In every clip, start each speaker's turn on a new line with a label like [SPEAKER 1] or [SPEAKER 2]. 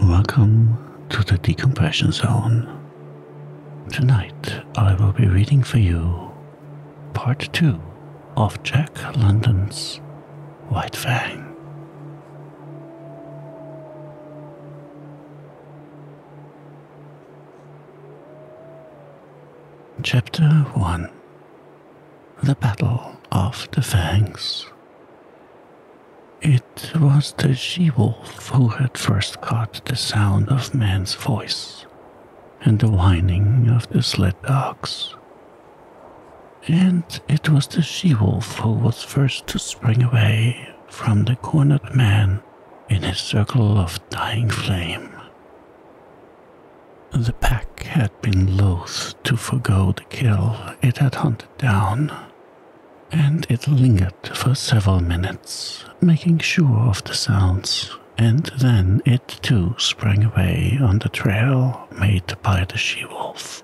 [SPEAKER 1] Welcome to the decompression zone. Tonight I will be reading for you part 2 of Jack London's White Fang. Chapter 1 The Battle of the Fangs. It was the she wolf who had first caught the sound of man's voice and the whining of the sled dogs. And it was the she wolf who was first to spring away from the cornered man in his circle of dying flame the pack had been loath to forego the kill it had hunted down, and it lingered for several minutes, making sure of the sounds, and then it too sprang away on the trail made by the she wolf.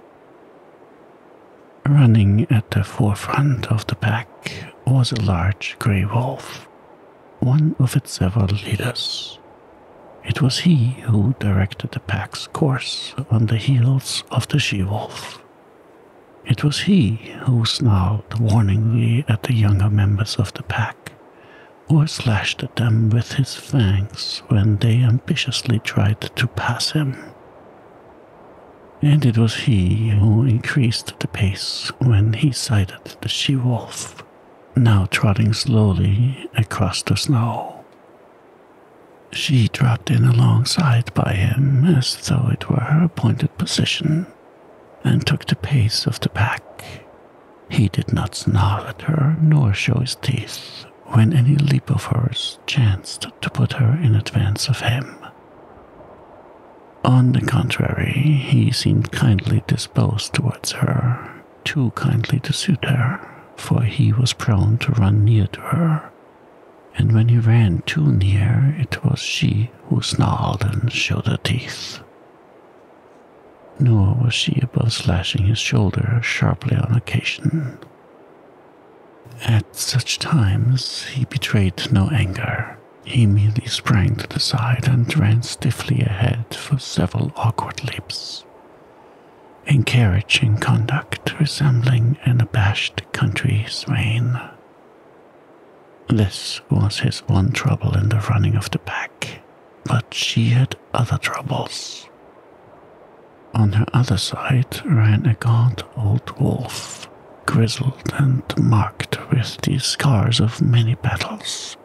[SPEAKER 1] Running at the forefront of the pack was a large grey wolf one of its several leaders. It was he who directed the pack's course on the heels of the she wolf. It was he who snarled warningly at the younger members of the pack, or slashed at them with his fangs when they ambitiously tried to pass him. And it was he who increased the pace when he sighted the she wolf, now trotting slowly across the snow. She dropped in alongside by him as though it were her appointed position and took the pace of the pack. He did not snarl at her nor show his teeth when any leap of hers chanced to put her in advance of him. On the contrary, he seemed kindly disposed towards her, too kindly to suit her, for he was prone to run near to her, and when he ran too near, it was she who snarled and showed her teeth. Nor was she above slashing his shoulder sharply on occasion. At such times, he betrayed no anger he merely sprang to the side and ran stiffly ahead for several awkward leaps. in carriage and conduct resembling an abashed country swain. This was his one trouble in the running of the pack, but she had other troubles. On her other side ran a gaunt old wolf, grizzled and marked with the scars of many battles,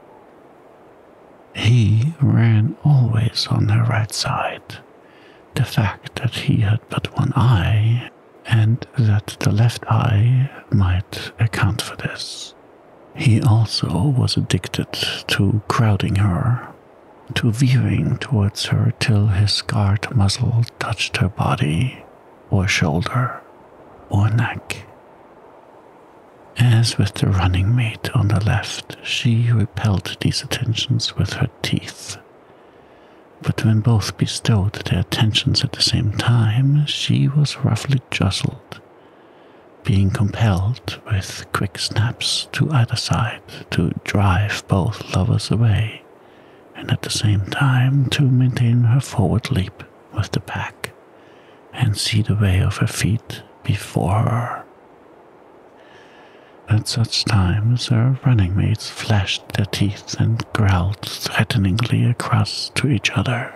[SPEAKER 1] he ran always on her right side. The fact that he had but one eye, and that the left eye might account for this. He also was addicted to crowding her, to veering towards her till his scarred muzzle touched her body, or shoulder, or neck. As with the running mate on the left, she repelled these attentions with her teeth. But when both bestowed their attentions at the same time, she was roughly jostled, being compelled with quick snaps to either side to drive both lovers away, and at the same time to maintain her forward leap. With the pack and see the way of her feet before her. At such times, her running mates flashed their teeth and growled threateningly across to each other.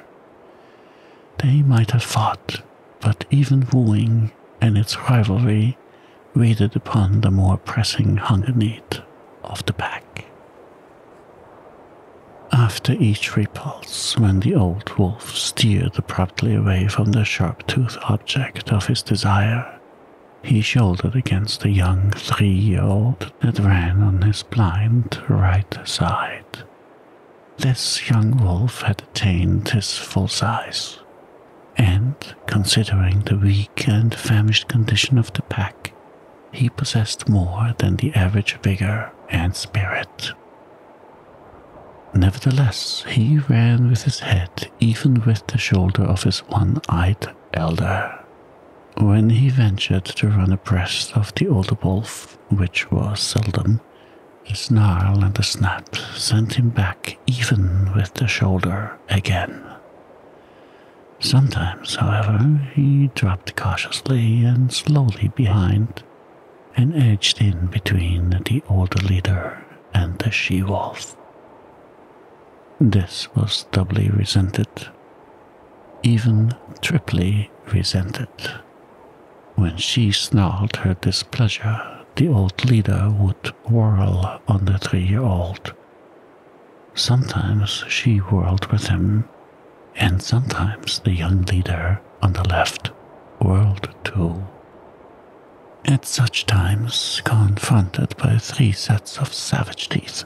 [SPEAKER 1] They might have fought, but even wooing and its rivalry waited upon the more pressing hunger need of the pack. After each repulse, when the old wolf steered abruptly away from the sharp toothed object of his desire, he shouldered against the young three year old that ran on his blind right side. This young wolf had attained his full size, and, considering the weak and famished condition of the pack, he possessed more than the average vigor and spirit. Nevertheless, he ran with his head even with the shoulder of his one eyed elder. When he ventured to run abreast of the older wolf, which was seldom, a snarl and a snap sent him back even with the shoulder again. Sometimes, however, he dropped cautiously and slowly behind and edged in between the old leader and the she wolf. This was doubly resented, even triply resented. When she snarled her displeasure, the old leader would whirl on the three year old. Sometimes she whirled with him and sometimes the young leader on the left whirled too. At such times, confronted by three sets of savage teeth,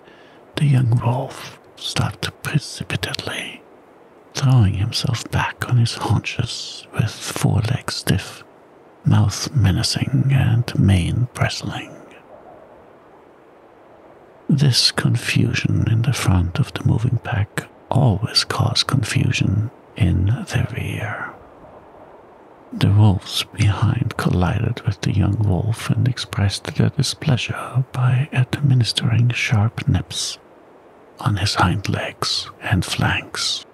[SPEAKER 1] the young wolf stopped precipitately, throwing himself back on his haunches with forelegs stiff, mouth menacing, and mane bristling. This confusion in the front of the moving pack always caused confusion in the rear. The wolves behind collided with the young wolf and expressed their displeasure by administering sharp nips on his hind legs and flanks.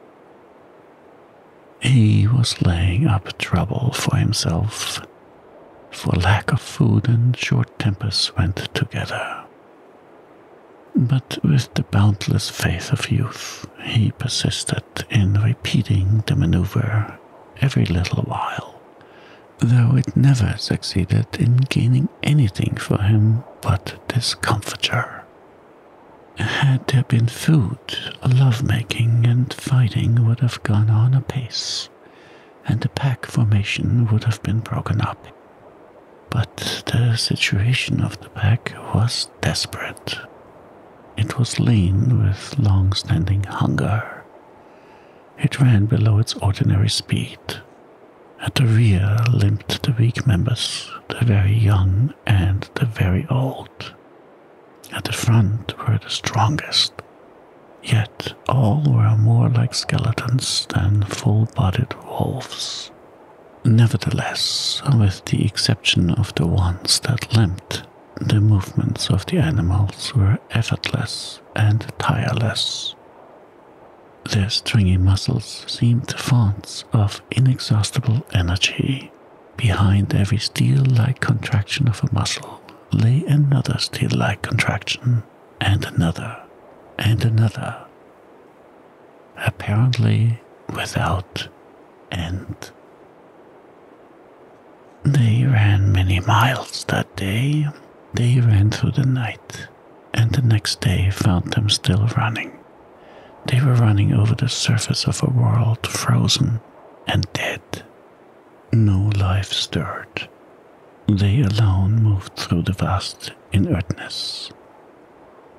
[SPEAKER 1] He was laying up trouble for himself, for lack of food and short tempers went together. But with the boundless faith of youth, he persisted in repeating the maneuver every little while, though it never succeeded in gaining anything for him but discomfiture. Had there been food, love-making and fighting would have gone on apace, and the pack formation would have been broken up. But the situation of the pack was desperate. It was lean with long standing hunger. It ran below its ordinary speed. At the rear limped the weak members, the very young and the very old. At the front were the strongest, yet all were more like skeletons than full bodied wolves. Nevertheless, with the exception of the ones that limped, the movements of the animals were effortless and tireless. Their stringy muscles seemed fonts of inexhaustible energy. Behind every steel like contraction of a muscle lay another steel like contraction, and another, and another, apparently without end. They ran many miles that day. They ran through the night, and the next day found them still running. They were running over the surface of a world frozen and dead. No life stirred, they alone moved through the vast inertness.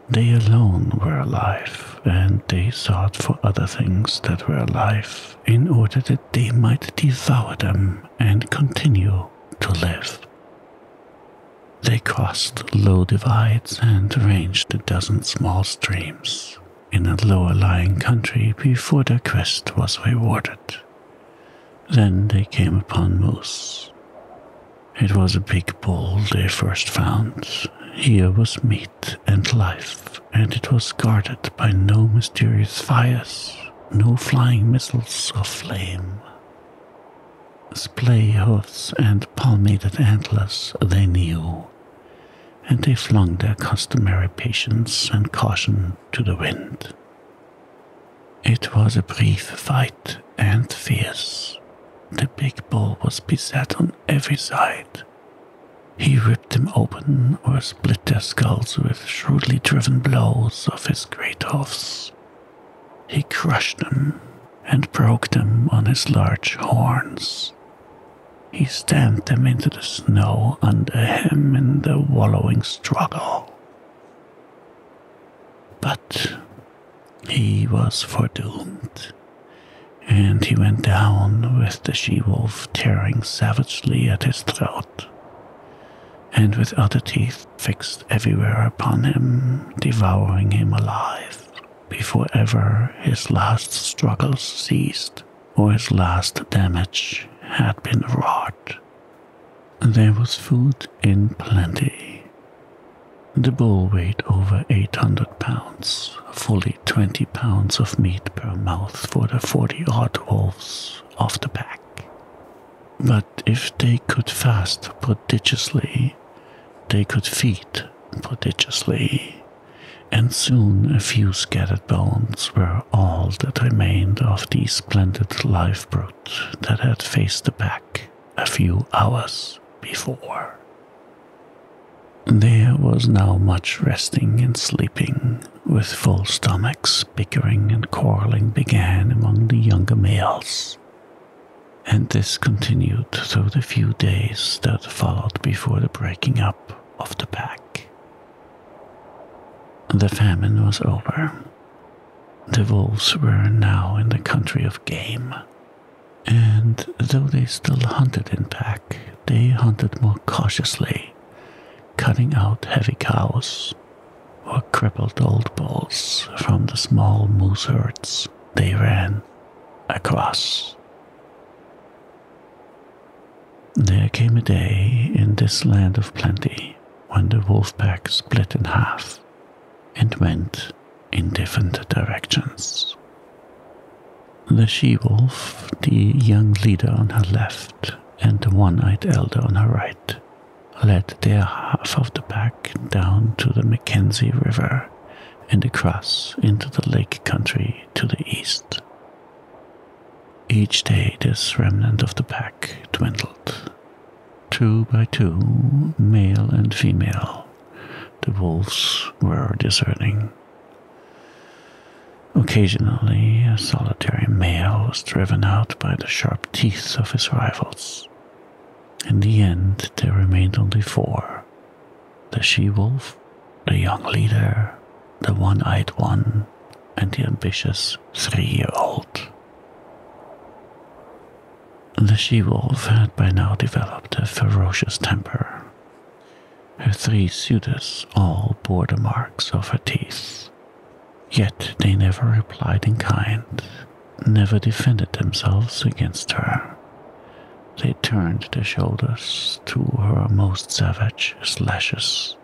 [SPEAKER 1] They alone were alive, and they sought for other things that were alive in order that they might devour them and continue to live. They crossed low divides and ranged a dozen small streams in a lower lying country before their quest was rewarded. Then they came upon moose. It was a big bull they eh, first found. Here was meat and life, and it was guarded by no mysterious fires, no flying missiles of flame. Splay hoofs and palmated antlers they knew, and they flung their customary patience and caution to the wind. It was a brief fight and fierce. The big bull was beset on every side. He ripped them open or split their skulls with shrewdly driven blows of his great hoofs. He crushed them and broke them on his large horns. He stamped them into the snow under him in the wallowing struggle. But he was foredoomed, and he went down with the she wolf tearing savagely at his throat, and with other teeth fixed everywhere upon him, devouring him alive, before ever his last struggles ceased or his last damage had been wrought. There was food in plenty. The bull weighed over 800 pounds, fully 20 pounds of meat per mouth for the 40 odd wolves of the pack. But if they could fast prodigiously, they could feed prodigiously, and soon a few scattered bones were all that remained of the splendid live brute that had faced the pack a few hours before. There was now much resting and sleeping, with full stomachs, bickering and quarreling began among the younger males, and this continued through the few days that followed before the breaking up of the pack. The famine was over, the wolves were now in the country of game, and though they still hunted in pack, they hunted more cautiously, cutting out heavy cows or crippled old bulls from the small moose herds they ran across. There came a day in this land of plenty when the wolf pack split in half and went in different directions. The she wolf, the young leader on her left, and the one eyed elder on her right, led their half of the pack down to the Mackenzie River and across into the lake country to the east. Each day, this remnant of the pack dwindled, Two by two, male and female, the wolves were discerning. Occasionally, a solitary male was driven out by the sharp teeth of his rivals. In the end, there remained only four the she wolf, the young leader, the one eyed one, and the ambitious three year old. The she wolf had by now developed a ferocious temper. Her three suitors all bore the marks of her teeth, yet they never replied in kind, never defended themselves against her. They turned their shoulders to her most savage slashes,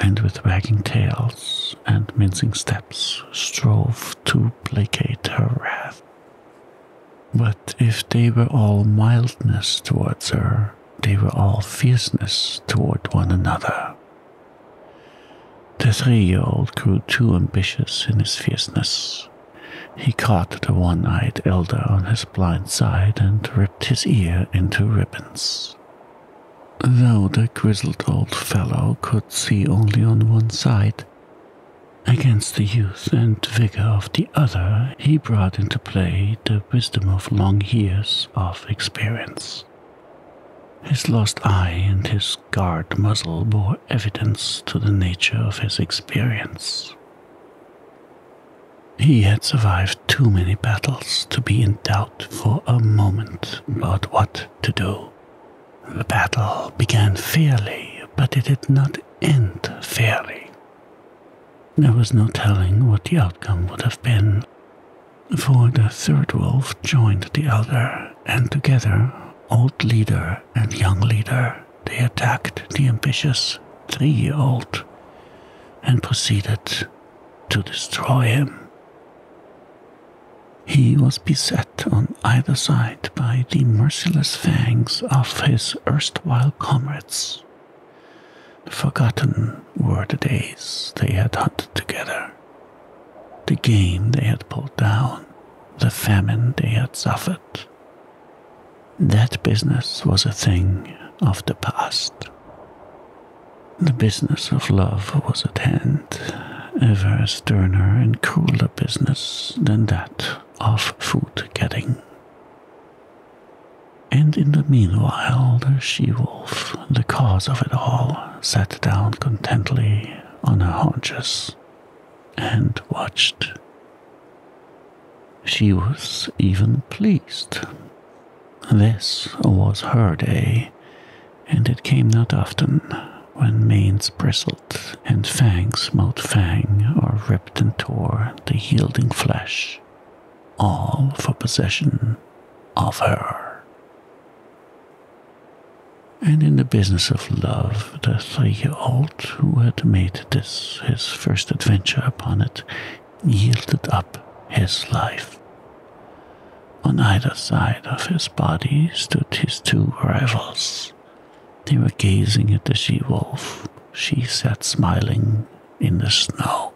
[SPEAKER 1] and with wagging tails and mincing steps, strove to placate her wrath. But if they were all mildness towards her, they were all fierceness toward one another. The three year old grew too ambitious in his fierceness. He caught the one eyed elder on his blind side and ripped his ear into ribbons. Though the grizzled old fellow could see only on one side, Against the youth and vigor of the other, he brought into play the wisdom of long years of experience. His lost eye and his scarred muzzle bore evidence to the nature of his experience. He had survived too many battles to be in doubt for a moment about what to do. The battle began fairly, but it did not end fairly. There was no telling what the outcome would have been, for the third wolf joined the elder, and together, old leader and young leader, they attacked the ambitious three year old and proceeded to destroy him. He was beset on either side by the merciless fangs of his erstwhile comrades. Forgotten were the days they had hunted together, the game they had pulled down, the famine they had suffered. That business was a thing of the past. The business of love was at hand ever a sterner and crueler business than that of food getting. And in the meanwhile, the she wolf, the cause of it all, sat down contentedly on her haunches and watched. She was even pleased. This was her day, and it came not often when manes bristled and fangs, smote fang, or ripped and tore the yielding flesh, all for possession of her. And in the business of love, the three year old who had made this his first adventure upon it yielded up his life. On either side of his body stood his two rivals. They were gazing at the she wolf. She sat smiling in the snow.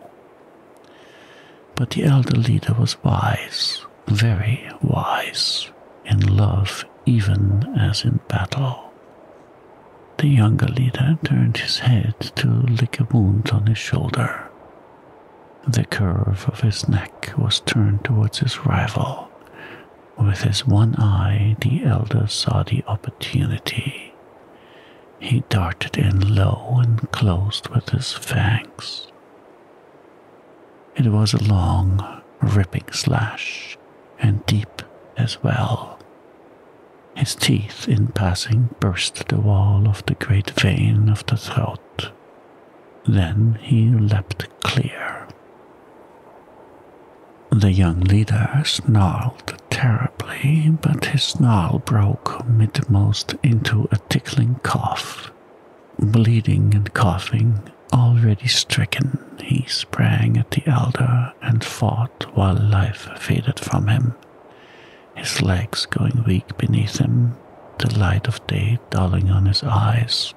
[SPEAKER 1] But the elder leader was wise, very wise, in love even as in battle. The younger leader turned his head to lick a wound on his shoulder. The curve of his neck was turned towards his rival, with his one eye, the elder saw the opportunity. He darted in low and closed with his fangs. It was a long, ripping slash, and deep as well. His teeth, in passing, burst the wall of the great vein of the throat. Then he leapt clear. The young leader snarled terribly, but his snarl broke midmost into a tickling cough. Bleeding and coughing, already stricken, he sprang at the elder and fought while life faded from him, his legs going weak beneath him, the light of day dulling on his eyes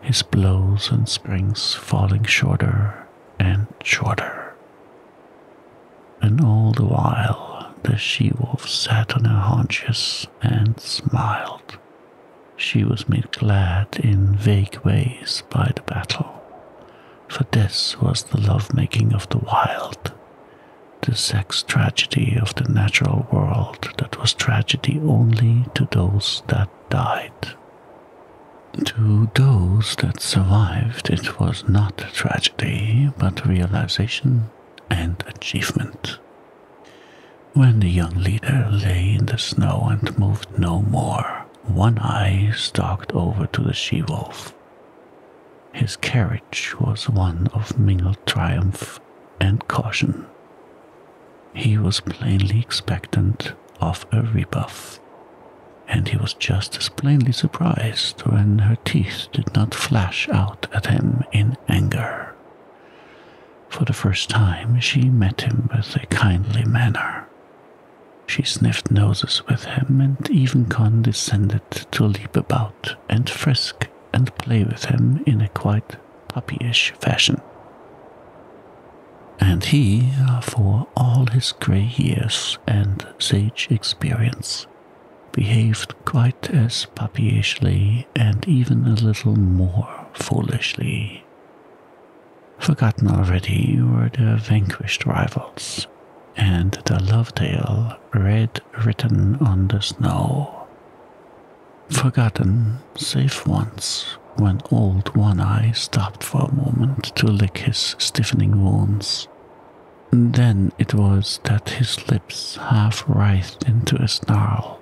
[SPEAKER 1] his blows and springs falling shorter and shorter. And all the while, the she wolf sat on her haunches and smiled. She was made glad in vague ways by the battle, for this was the love-making of the wild, the sex tragedy of the natural world that was tragedy only to those that died. To those that survived, it was not a tragedy, but realization and achievement. When the young leader lay in the snow and moved no more, One Eye stalked over to the she wolf. His carriage was one of mingled triumph and caution. He was plainly expectant of a rebuff, and he was just as plainly surprised when her teeth did not flash out at him in anger. For the first time, she met him with a kindly manner. She sniffed noses with him and even condescended to leap about and frisk and play with him in a quite puppyish fashion. And he, uh, for all his grey years and sage experience, behaved quite as puppyishly and even a little more foolishly. Forgotten already were the vanquished rivals and the love tale red written on the snow forgotten, save once, when old One Eye stopped for a moment to lick his stiffening wounds. then it was that his lips half writhed into a snarl,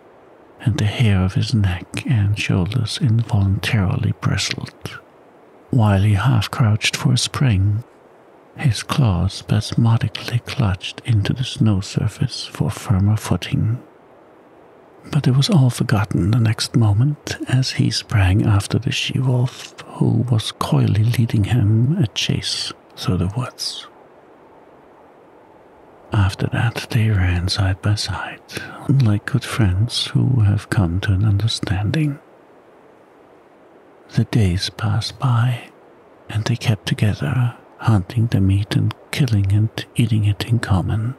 [SPEAKER 1] and the hair of his neck and shoulders involuntarily bristled. While he half crouched for a spring, his claws spasmodically clutched into the snow surface for firmer footing. But it was all forgotten the next moment as he sprang after the she wolf, who was coyly leading him a chase through the woods. After that, they ran side by side, like good friends who have come to an understanding. The days passed by, and they kept together, hunting the meat and killing and eating it in common.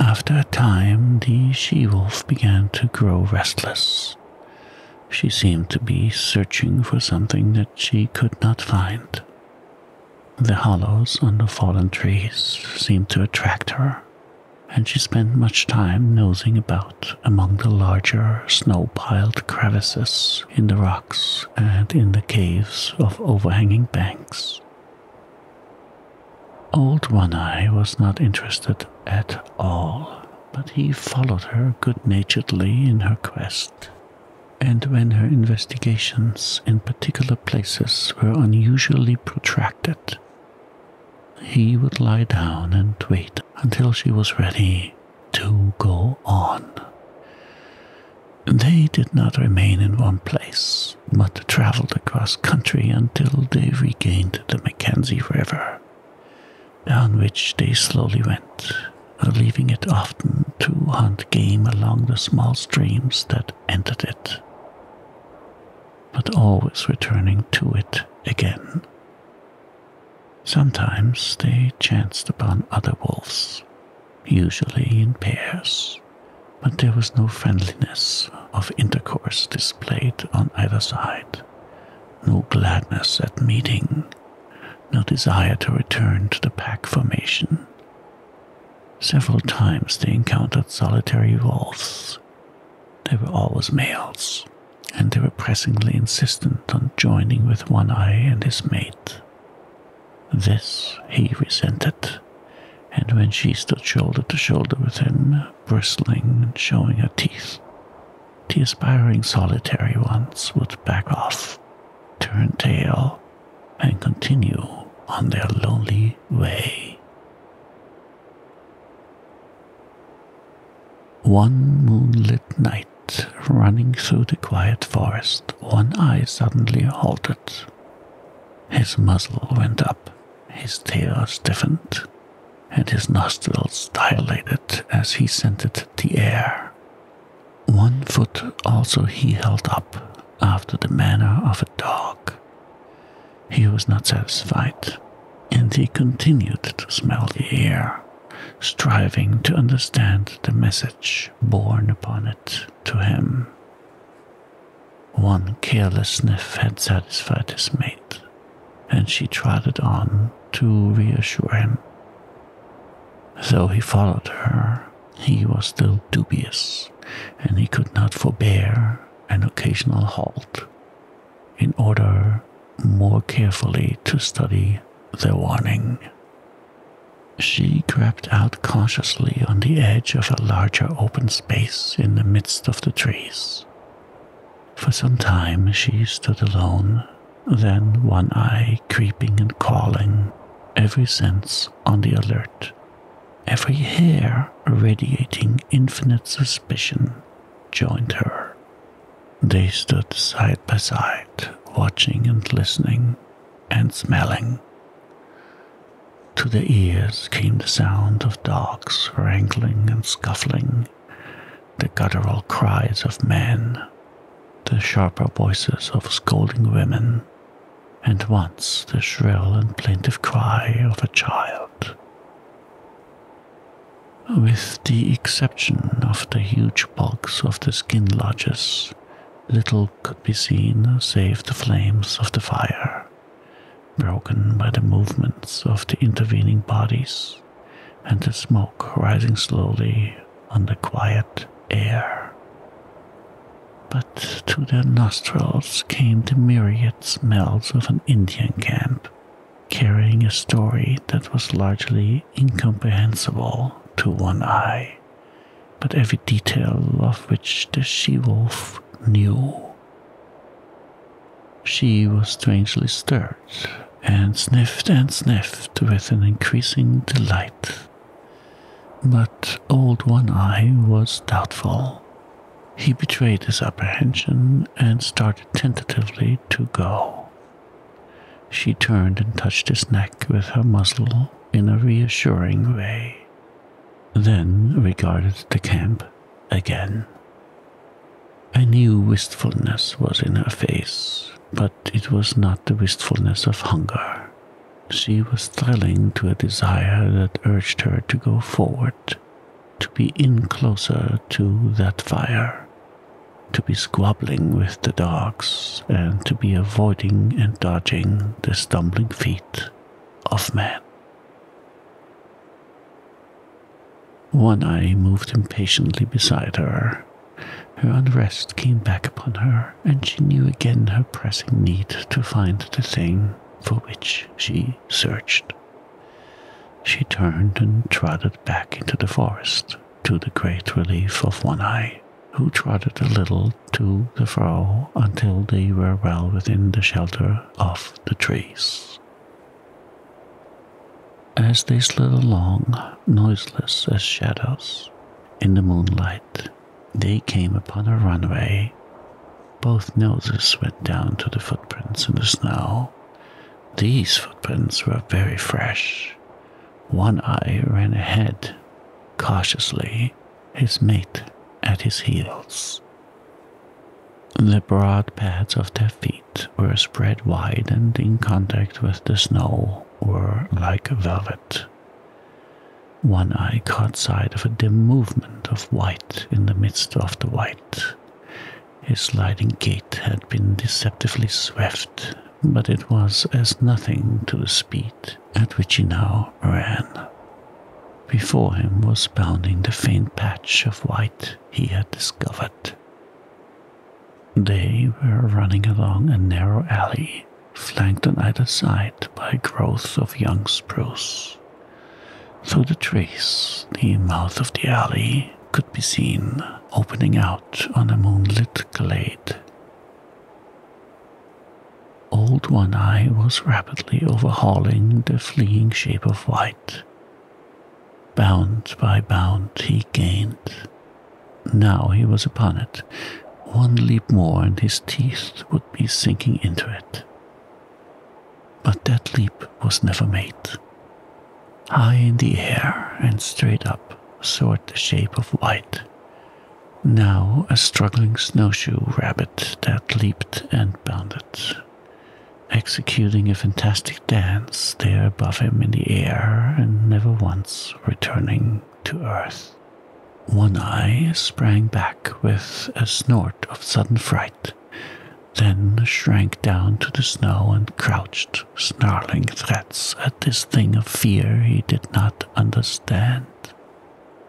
[SPEAKER 1] After a time, the she wolf began to grow restless. She seemed to be searching for something that she could not find. The hollows under fallen trees seemed to attract her, and she spent much time nosing about among the larger snow piled crevices in the rocks and in the caves of overhanging banks. Old One Eye was not interested at all, but he followed her good naturedly in her quest. And when her investigations in particular places were unusually protracted, he would lie down and wait until she was ready to go on. They did not remain in one place, but traveled across country until they regained the Mackenzie River, down which they slowly went, leaving it often to hunt game along the small streams that entered it, but always returning to it again. Sometimes they chanced upon other wolves, usually in pairs, but there was no friendliness of intercourse displayed on either side, no gladness at meeting, no desire to return to the pack formation. Several times they encountered solitary wolves. They were always males, and they were pressingly insistent on joining with One Eye and his mate. This he resented, and when she stood shoulder to shoulder with him, bristling and showing her teeth, the aspiring solitary ones would back off, turn tail, and continue on their lonely way. One moonlit night, running through the quiet forest, one eye suddenly halted his muzzle went up, his tail stiffened, and his nostrils dilated as he scented the air. One foot also he held up, after the manner of a dog. He was not satisfied, and he continued to smell the air, striving to understand the message borne upon it to him. One careless sniff had satisfied his mate, and she trotted on to reassure him. Though he followed her, he was still dubious, and he could not forbear an occasional halt in order more carefully to study the warning. She crept out cautiously on the edge of a larger open space in the midst of the trees. For some time she stood alone, then one eye creeping and calling, every sense on the alert, every hair radiating infinite suspicion, joined her. They stood side by side, watching and listening and smelling to their ears came the sound of dogs wrangling and scuffling, the guttural cries of men, the sharper voices of scolding women, and once the shrill and plaintive cry of a child. With the exception of the huge bulks of the skin lodges, little could be seen save the flames of the fire broken by the movements of the intervening bodies and the smoke rising slowly on the quiet air. But to their nostrils came the myriad smells of an Indian camp, carrying a story that was largely incomprehensible to one eye, but every detail of which the she wolf knew. She was strangely stirred and sniffed and sniffed with an increasing delight. But old One Eye was doubtful. He betrayed his apprehension and started tentatively to go. She turned and touched his neck with her muzzle in a reassuring way then regarded the camp again. A new wistfulness was in her face, but it was not the wistfulness of hunger. She was thrilling to a desire that urged her to go forward, to be in closer to that fire, to be squabbling with the dogs, and to be avoiding and dodging the stumbling feet of man. One Eye moved impatiently beside her. Her unrest came back upon her, and she knew again her pressing need to find the thing for which she searched. She turned and trotted back into the forest, to the great relief of One Eye, who trotted a little to the fro until they were well within the shelter of the trees. As they slid along, noiseless as shadows, in the moonlight, they came upon a runway. Both noses went down to the footprints in the snow. These footprints were very fresh. One eye ran ahead, cautiously, his mate at his heels. The broad pads of their feet were spread wide and in contact with the snow were like velvet. One eye caught sight of a dim movement of white in the midst of the white. His sliding gait had been deceptively swift, but it was as nothing to the speed at which he now ran. Before him was bounding the faint patch of white he had discovered. They were running along a narrow alley, flanked on either side by growths of young spruce. Through the trees, the mouth of the alley could be seen opening out on a moonlit glade. Old One Eye was rapidly overhauling the fleeing shape of white. Bound by bound he gained. Now he was upon it. One leap more and his teeth would be sinking into it. But that leap was never made. High in the air and straight up soared the shape of white. Now a struggling snowshoe rabbit that leaped and bounded executing a fantastic dance there above him in the air and never once returning to earth. One Eye sprang back with a snort of sudden fright, then shrank down to the snow and crouched, snarling threats at this thing of fear he did not understand.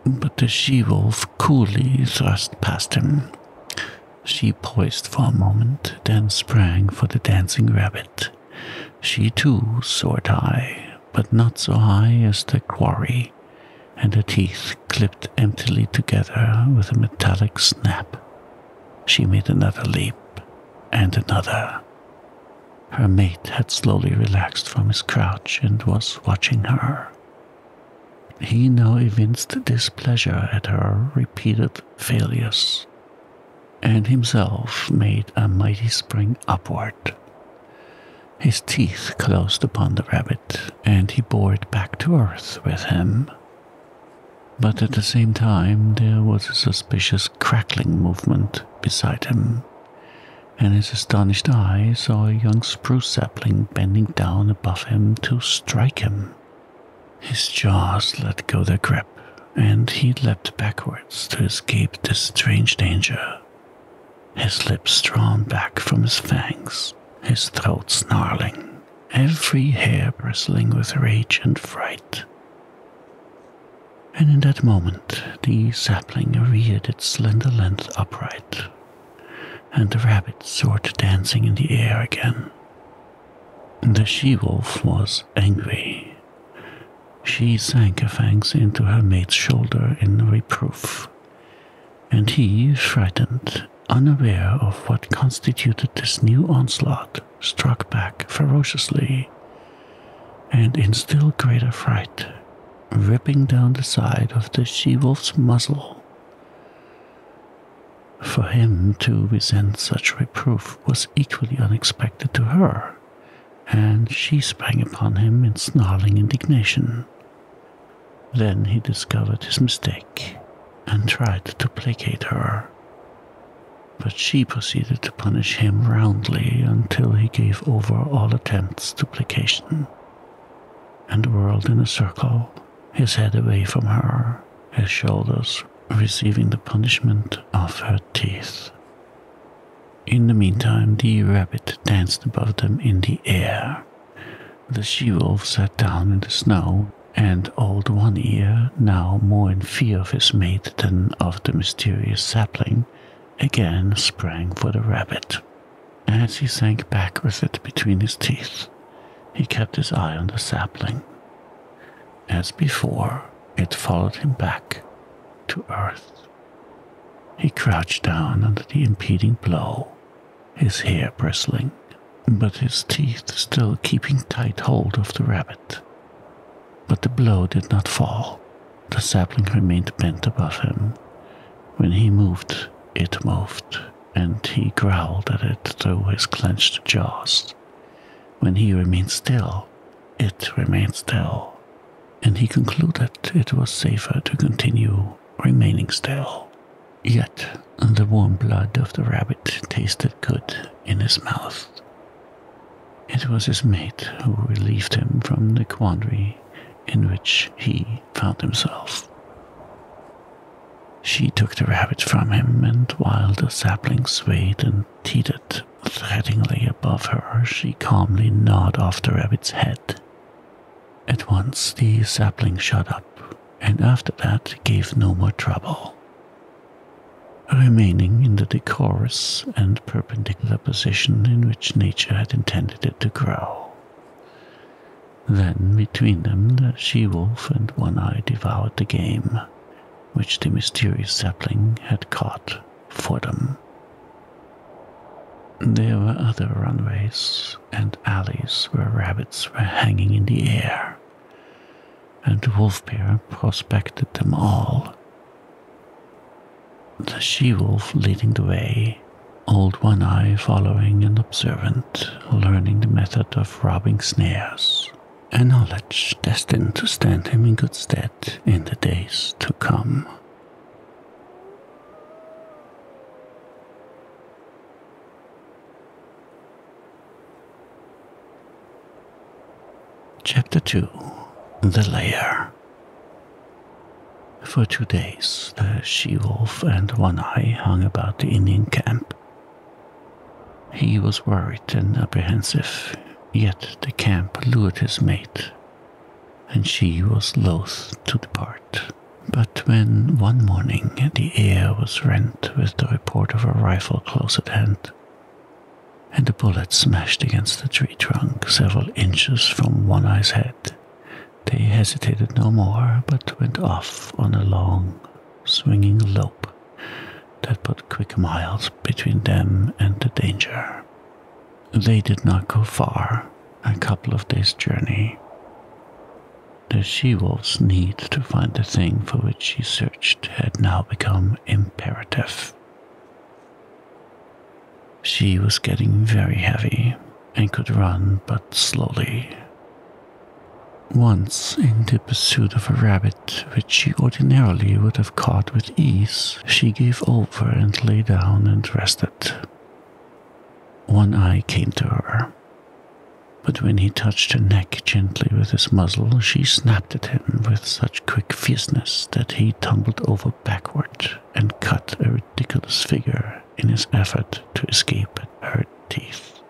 [SPEAKER 1] But the she wolf coolly thrust past him. She poised for a moment, then sprang for the dancing rabbit. She too soared high, but not so high as the quarry, and her teeth clipped emptily together with a metallic snap. She made another leap, and another. Her mate had slowly relaxed from his crouch and was watching her. He now evinced displeasure at her repeated failures, and himself made a mighty spring upward. His teeth closed upon the rabbit, and he bore it back to earth with him. But at the same time, there was a suspicious crackling movement beside him, and his astonished eyes saw a young spruce sapling bending down above him to strike him. His jaws let go their grip, and he leapt backwards to escape this strange danger. His lips drawn back from his fangs, his throat snarling, every hair bristling with rage and fright. And in that moment, the sapling reared its slender length upright, and the rabbit soared dancing in the air again. The she wolf was angry. She sank her fangs into her mate's shoulder in reproof, and he, frightened, unaware of what constituted this new onslaught, struck back ferociously, and in still greater fright, ripping down the side of the she wolf's muzzle for him to resent such reproof was equally unexpected to her, and she sprang upon him in snarling indignation. Then he discovered his mistake and tried to placate her. But she proceeded to punish him roundly until he gave over all attempts to placation and whirled in a circle his head away from her, his shoulders receiving the punishment of her teeth. In the meantime, the rabbit danced above them in the air. The she wolf sat down in the snow, and old One Ear, now more in fear of his mate than of the mysterious sapling, again sprang for the rabbit. As he sank back with it between his teeth, he kept his eye on the sapling. As before, it followed him back to earth. He crouched down under the impeding blow, his hair bristling, but his teeth still keeping tight hold of the rabbit. But the blow did not fall. The sapling remained bent above him. When he moved, it moved and he growled at it through his clenched jaws. When he remained still, it remained still, and he concluded it was safer to continue remaining still. Yet the warm blood of the rabbit tasted good in his mouth. It was his mate who relieved him from the quandary in which he found himself. She took the rabbit from him, and while the sapling swayed and teetered threateningly above her, she calmly gnawed off the rabbit's head. At once the sapling shot up, and after that gave no more trouble. Remaining in the decorous and perpendicular position in which nature had intended it to grow. Then between them the she-wolf and One-Eye devoured the game, which the mysterious sapling had caught for them. There were other runways and alleys where rabbits were hanging in the air, and the wolf pair prospected them all. The she-wolf leading the way, old One-Eye following and observant learning the method of robbing snares, a knowledge destined to stand him in good stead in the days to come. Chapter 2 The Lair For two days, the she wolf and One Eye hung about the Indian camp he was worried and apprehensive, yet the camp lured his mate, and she was loath to depart. But when one morning the air was rent with the report of a rifle close at hand, and a bullet smashed against the tree trunk several inches from One Eye's head, they hesitated no more, but went off on a long, swinging a lope that put quick miles between them and the danger. They did not go far, a couple of days' journey. The she wolf's need to find the thing for which she searched had now become imperative. She was getting very heavy and could run but slowly, once, in the pursuit of a rabbit which she ordinarily would have caught with ease, she gave over and lay down and rested. One Eye came to her, but when he touched her neck gently with his muzzle, she snapped at him with such quick fierceness that he tumbled over backward and cut a ridiculous figure in his effort to escape her teeth.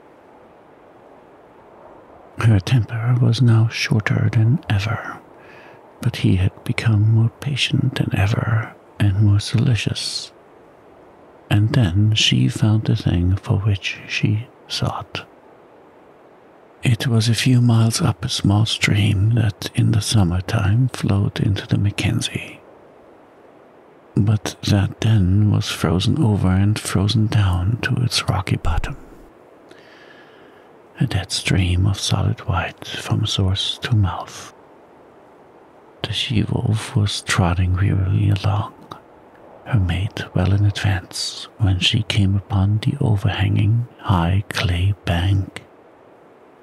[SPEAKER 1] Her temper was now shorter than ever, but he had become more patient than ever and more solicitous. And then she found the thing for which she sought. It was a few miles up a small stream that in the summertime flowed into the Mackenzie, but that den was frozen over and frozen down to its rocky bottom. A dead stream of solid white from source to mouth. The she wolf was trotting wearily along, her mate well in advance, when she came upon the overhanging, high clay bank.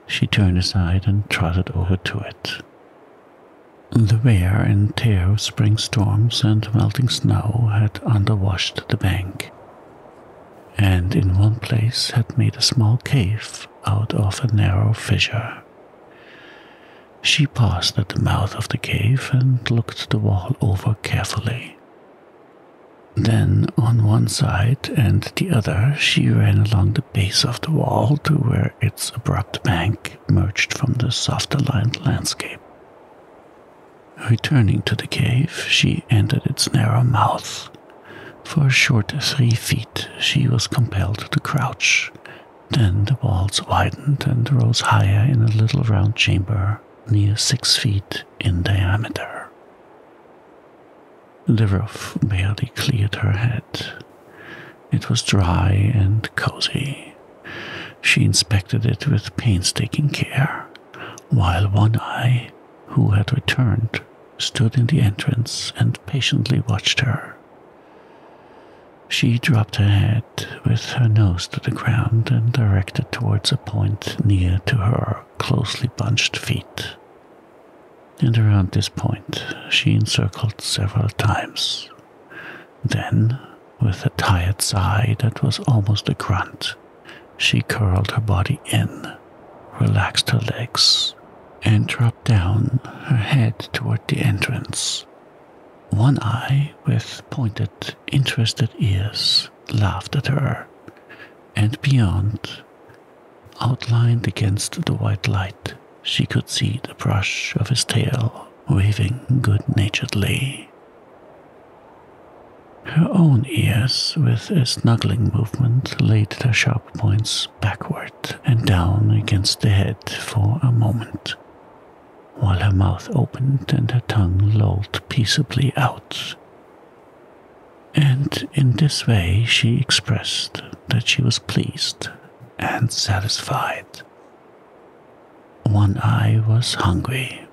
[SPEAKER 1] She turned aside and trotted over to it. The wear and tear of spring storms and melting snow had underwashed the bank, and in one place had made a small cave out of a narrow fissure. She paused at the mouth of the cave and looked the wall over carefully. Then, on one side and the other, she ran along the base of the wall to where its abrupt bank emerged from the softer landscape. Returning to the cave, she entered its narrow mouth. For a short three feet, she was compelled to crouch. Then the walls widened and rose higher in a little round chamber, near six feet in diameter. The roof barely cleared her head. It was dry and cozy. She inspected it with painstaking care, while One Eye, who had returned, stood in the entrance and patiently watched her. She dropped her head with her nose to the ground and directed towards a point near to her closely bunched feet. And around this point, she encircled several times then, with a tired sigh that was almost a grunt, she curled her body in, relaxed her legs, and dropped down, her head toward the entrance. One eye, with pointed, interested ears, laughed at her, and beyond, outlined against the white light, she could see the brush of his tail waving good naturedly. Her own ears, with a snuggling movement, laid their sharp points backward and down against the head for a moment, while her mouth opened and her tongue lolled peaceably out. And in this way she expressed that she was pleased and satisfied one Eye was hungry,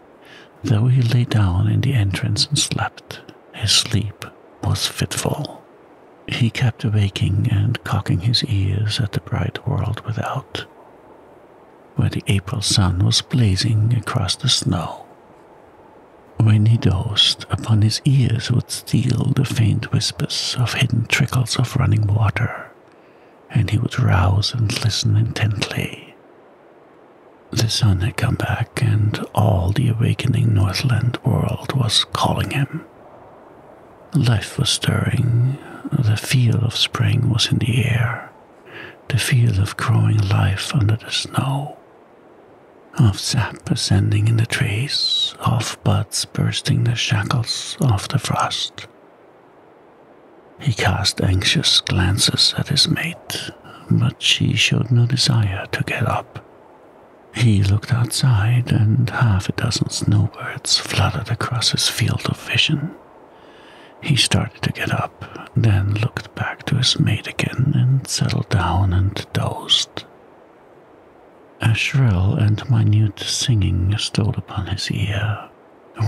[SPEAKER 1] though he lay down in the entrance and slept. His sleep was fitful. He kept waking and cocking his ears at the bright world without, where the April sun was blazing across the snow. When he dozed, upon his ears would steal the faint whispers of hidden trickles of running water and he would rouse and listen intently. The sun had come back, and all the awakening Northland world was calling him. Life was stirring, the feel of spring was in the air, the feel of growing life under the snow, of sap ascending in the trees, of buds bursting the shackles of the frost. He cast anxious glances at his mate, but she showed no desire to get up. He looked outside, and half a dozen snowbirds fluttered across his field of vision. He started to get up, then looked back to his mate again and settled down and dozed. A shrill and minute singing stole upon his ear,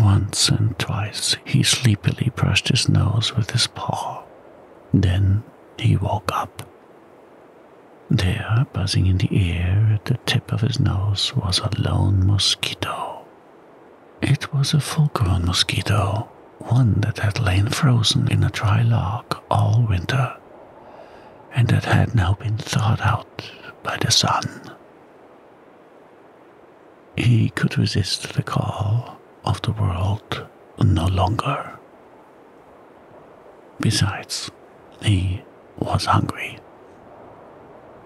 [SPEAKER 1] once and twice he sleepily brushed his nose with his paw. Then he woke up. There, buzzing in the air at the tip of his nose, was a lone mosquito. It was a full grown mosquito, one that had lain frozen in a dry log all winter, and that had now been thawed out by the sun. He could resist the call of the world no longer. Besides, he was hungry.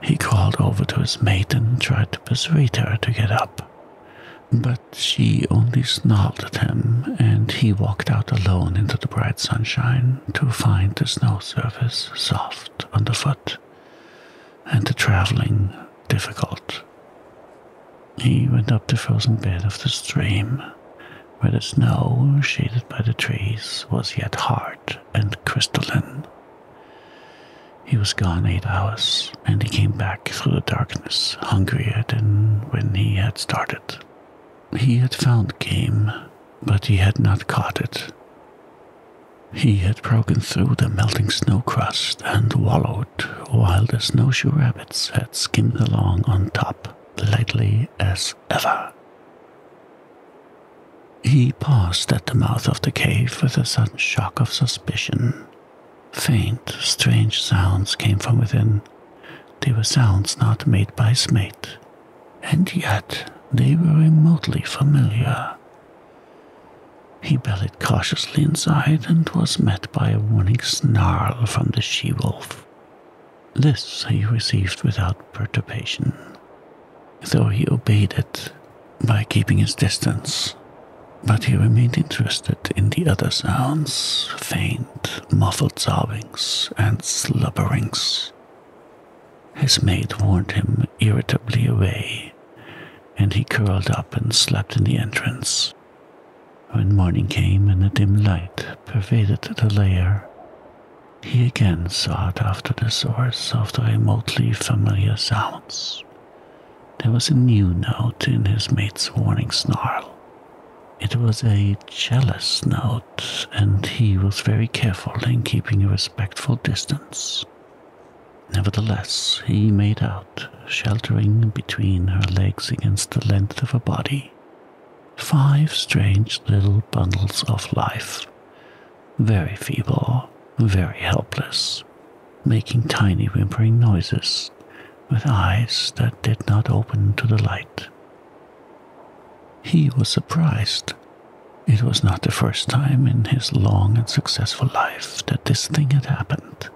[SPEAKER 1] He called over to his mate and tried to persuade her to get up, but she only snarled at him and he walked out alone into the bright sunshine to find the snow surface soft underfoot and the travelling difficult. He went up the frozen bed of the stream, where the snow, shaded by the trees, was yet hard and crystalline. He was gone eight hours, and he came back through the darkness, hungrier than when he had started. He had found game, but he had not caught it. He had broken through the melting snow crust and wallowed, while the snowshoe rabbits had skimmed along on top, lightly as ever. He paused at the mouth of the cave with a sudden shock of suspicion. Faint, strange sounds came from within. They were sounds not made by Smate, and yet they were remotely familiar. He bellied cautiously inside and was met by a warning snarl from the she wolf. This he received without perturbation, though he obeyed it by keeping his distance. But he remained interested in the other sounds faint, muffled sobbings and slubberings his mate warned him irritably away, and he curled up and slept in the entrance. When morning came and the dim light pervaded the lair, he again sought after the source of the remotely familiar sounds. There was a new note in his mate's warning snarl. It was a jealous note, and he was very careful in keeping a respectful distance. Nevertheless, he made out, sheltering between her legs against the length of her body, five strange little bundles of life, very feeble, very helpless, making tiny whimpering noises with eyes that did not open to the light. He was surprised it was not the first time in his long and successful life that this thing had happened.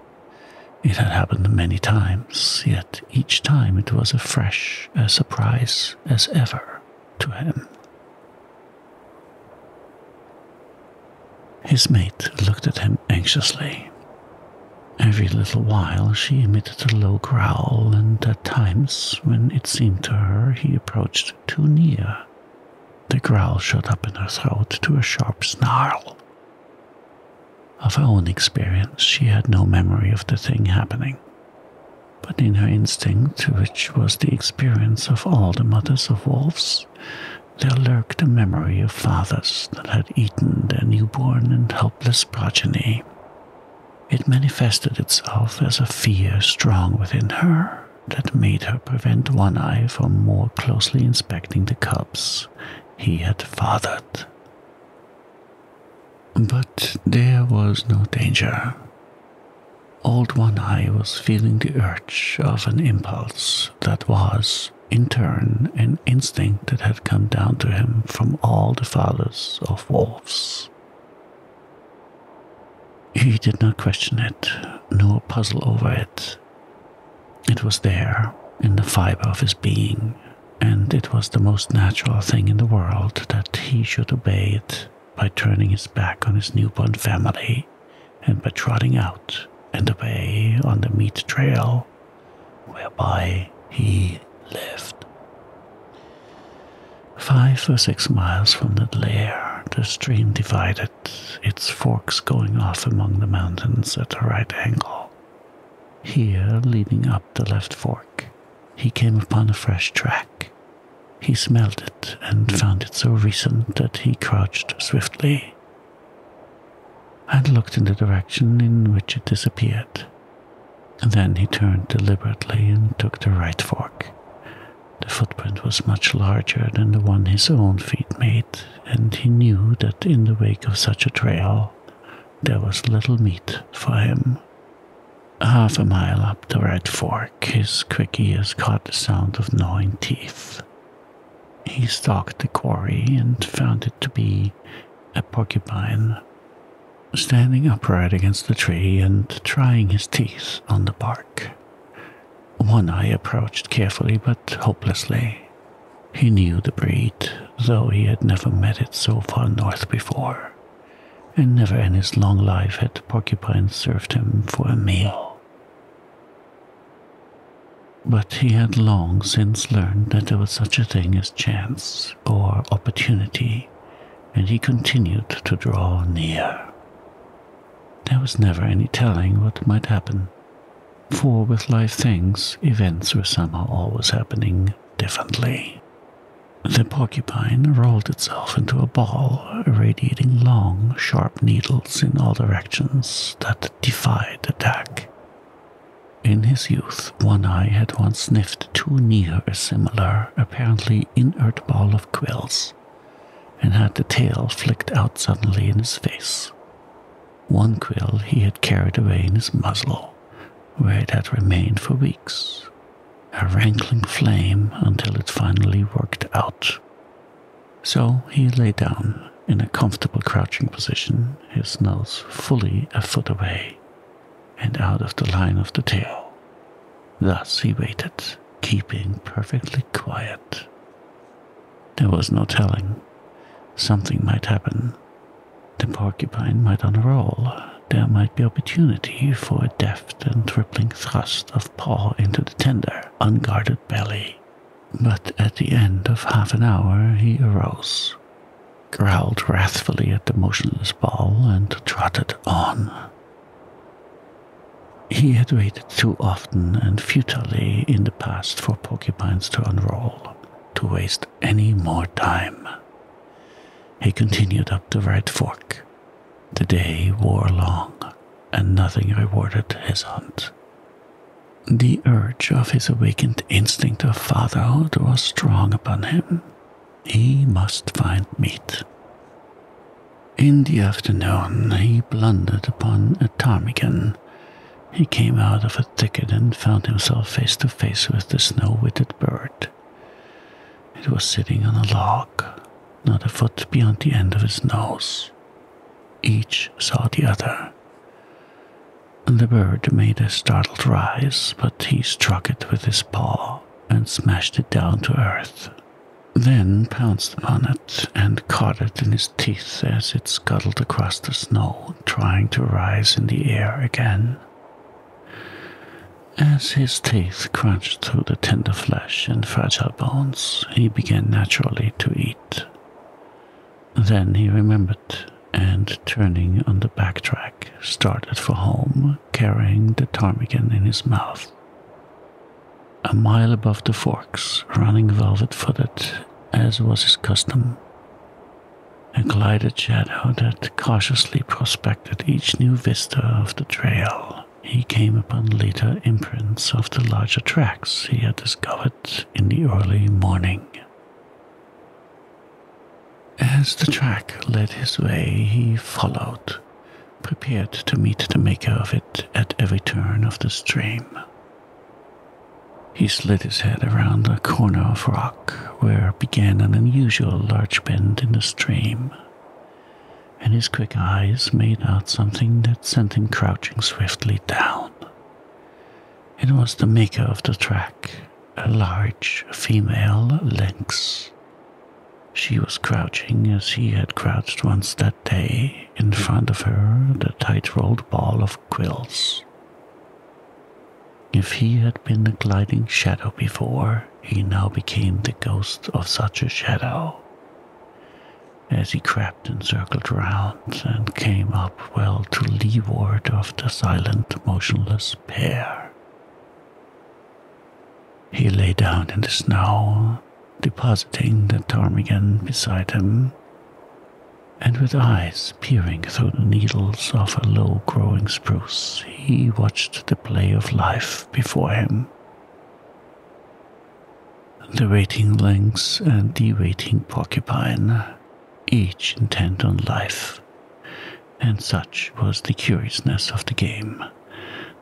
[SPEAKER 1] It had happened many times, yet each time it was as fresh as a surprise as ever to him. His mate looked at him anxiously. Every little while she emitted a low growl, and at times, when it seemed to her he approached too near, the growl shot up in her throat to a sharp snarl. Of her own experience, she had no memory of the thing happening. But in her instinct, which was the experience of all the mothers of wolves, there lurked a memory of fathers that had eaten their newborn and helpless progeny. It manifested itself as a fear strong within her, that made her prevent One Eye from more closely inspecting the cubs he had fathered. But there was no danger. Old One Eye was feeling the urge of an impulse that was, in turn, an instinct that had come down to him from all the fathers of wolves. He did not question it, nor puzzle over it. It was there, in the fiber of his being, and it was the most natural thing in the world that he should obey it by turning his back on his newborn family and by trotting out and away on the meat trail whereby he lived. Five or six miles from that lair, the stream divided its forks going off among the mountains at a right angle. Here, leading up the left fork, he came upon a fresh track. He smelled it and found it so recent that he crouched swiftly and looked in the direction in which it disappeared. Then he turned deliberately and took the right fork, the footprint was much larger than the one his own feet made, and he knew that in the wake of such a trail there was little meat for him. Half a mile up the red fork, his quick ears caught the sound of gnawing teeth. He stalked the quarry and found it to be a porcupine, standing upright against the tree and trying his teeth on the bark. One Eye approached carefully but hopelessly. He knew the breed, though he had never met it so far north before, and never in his long life had Porcupine served him for a meal. But he had long since learned that there was such a thing as chance or opportunity, and he continued to draw near. There was never any telling what might happen, for with life things, events were somehow always happening differently. The porcupine rolled itself into a ball, radiating long, sharp needles in all directions that defied attack. In his youth, One Eye had once sniffed too near a similar, apparently inert ball of quills and had the tail flicked out suddenly in his face. One quill he had carried away in his muzzle, where it had remained for weeks, a rankling flame until it finally worked out. So he lay down in a comfortable crouching position, his nose fully a foot away and out of the line of the tail. Thus he waited, keeping perfectly quiet. There was no telling. Something might happen. The porcupine might unroll. There might be opportunity for a deft and rippling thrust of paw into the tender, unguarded belly. But at the end of half an hour he arose, growled wrathfully at the motionless ball, and trotted on. He had waited too often and futilely in the past for porcupines to unroll, to waste any more time. He continued up the right fork. The day wore long, and nothing rewarded his hunt. The urge of his awakened instinct of fatherhood was strong upon him. He must find meat. In the afternoon, he blundered upon a ptarmigan. He came out of a thicket and found himself face to face with the snow witted bird. It was sitting on a log, not a foot beyond the end of his nose. Each saw the other. The bird made a startled rise, but he struck it with his paw and smashed it down to earth then pounced upon it and caught it in his teeth as it scuttled across the snow, trying to rise in the air again. As his teeth crunched through the tender flesh and fragile bones, he began naturally to eat. Then he remembered, and turning on the back track, started for home, carrying the ptarmigan in his mouth a mile above the forks, running velvet footed, as was his custom. A glided shadow that cautiously prospected each new vista of the trail. He came upon later imprints of the larger tracks he had discovered in the early morning. As the track led his way, he followed, prepared to meet the maker of it at every turn of the stream. He slid his head around a corner of rock where began an unusual large bend in the stream, and his quick eyes made out something that sent him crouching swiftly down. It was the maker of the track, a large female lynx. She was crouching as he had crouched once That day in front of her the tight-rolled ball of quills. If he had been a gliding shadow before, he now became the ghost of such a shadow. As he crept and circled round and came up well to leeward of the silent, motionless pair. He lay down in the snow depositing the ptarmigan beside him, and with eyes peering through the needles of a low growing spruce, he watched the play of life before him. The waiting lynx and the waiting porcupine, each intent on life, and such was the curiousness of the game.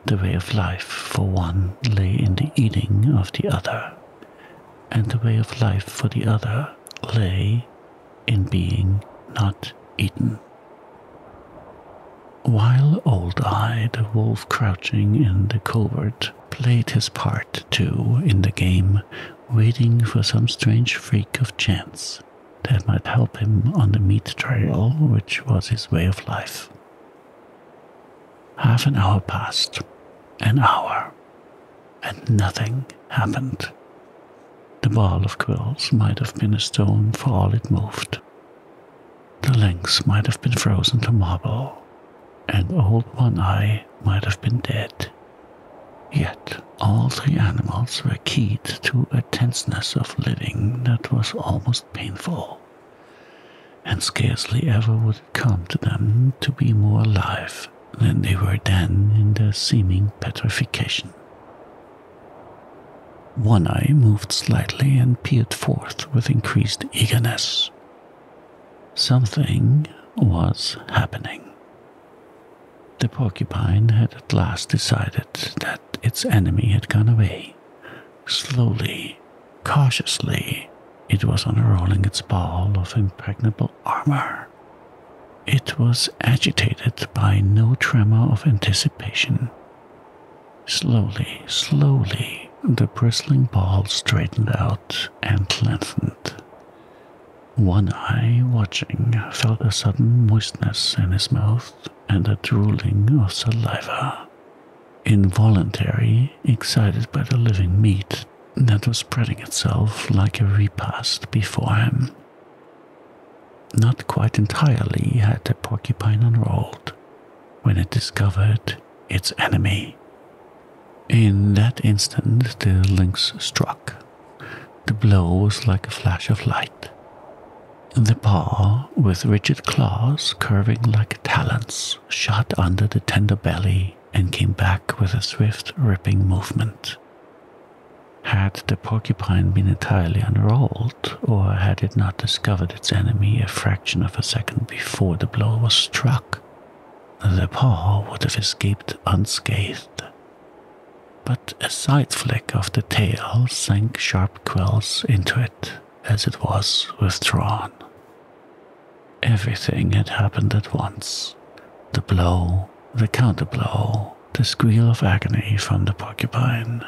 [SPEAKER 1] The way of life for one lay in the eating of the other and the way of life for the other lay in being not eaten. While Old Eye, the wolf crouching in the covert played his part too in the game, waiting for some strange freak of chance that might help him on the meat trail, which was his way of life. Half an hour passed, an hour, and nothing happened. The ball of quills might have been a stone for all it moved. The lynx might have been frozen to marble, and old One Eye might have been dead. Yet all three animals were keyed to a tenseness of living that was almost painful, and scarcely ever would come to them to be more alive than they were then in their seeming petrification. One eye moved slightly and peered forth with increased eagerness. Something was happening. The porcupine had at last decided that its enemy had gone away, slowly Cautiously, it was unrolling its ball of impregnable armor. It was agitated by no tremor of anticipation. Slowly, slowly, the bristling ball straightened out and lengthened. One eye, watching, felt a sudden moistness in his mouth and a drooling of saliva. Involuntary, excited by the living meat that was spreading itself like a repast before him. Not quite entirely had the porcupine unrolled when it discovered its enemy. In that instant, the lynx struck. The blow was like a flash of light. The paw, with rigid claws curving like talons, shot under the tender belly and came back with a swift, ripping movement. Had the porcupine been entirely unrolled, or had it not discovered its enemy a fraction of a second before the blow was struck, the paw would have escaped unscathed. But a side flick of the tail sank sharp quills into it as it was withdrawn. Everything had happened at once the blow, the counter blow, the squeal of agony from the porcupine,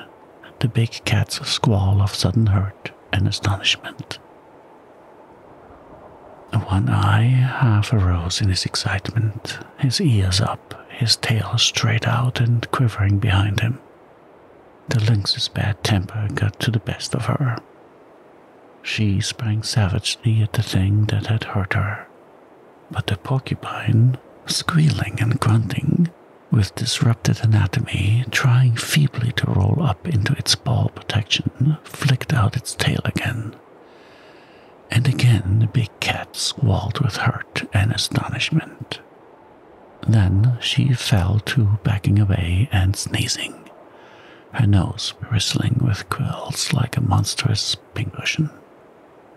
[SPEAKER 1] the big cat's squall of sudden hurt and astonishment. One Eye half arose in his excitement, his ears up, his tail straight out and quivering behind him. The lynx's bad temper got to the best of her. She sprang savagely at the thing that had hurt her, but the porcupine, squealing and grunting, with disrupted anatomy, trying feebly to roll up into its ball protection, flicked out its tail again. And again the big cat squalled with hurt and astonishment. Then she fell to backing away and sneezing, her nose bristling with quills like a monstrous pincushion.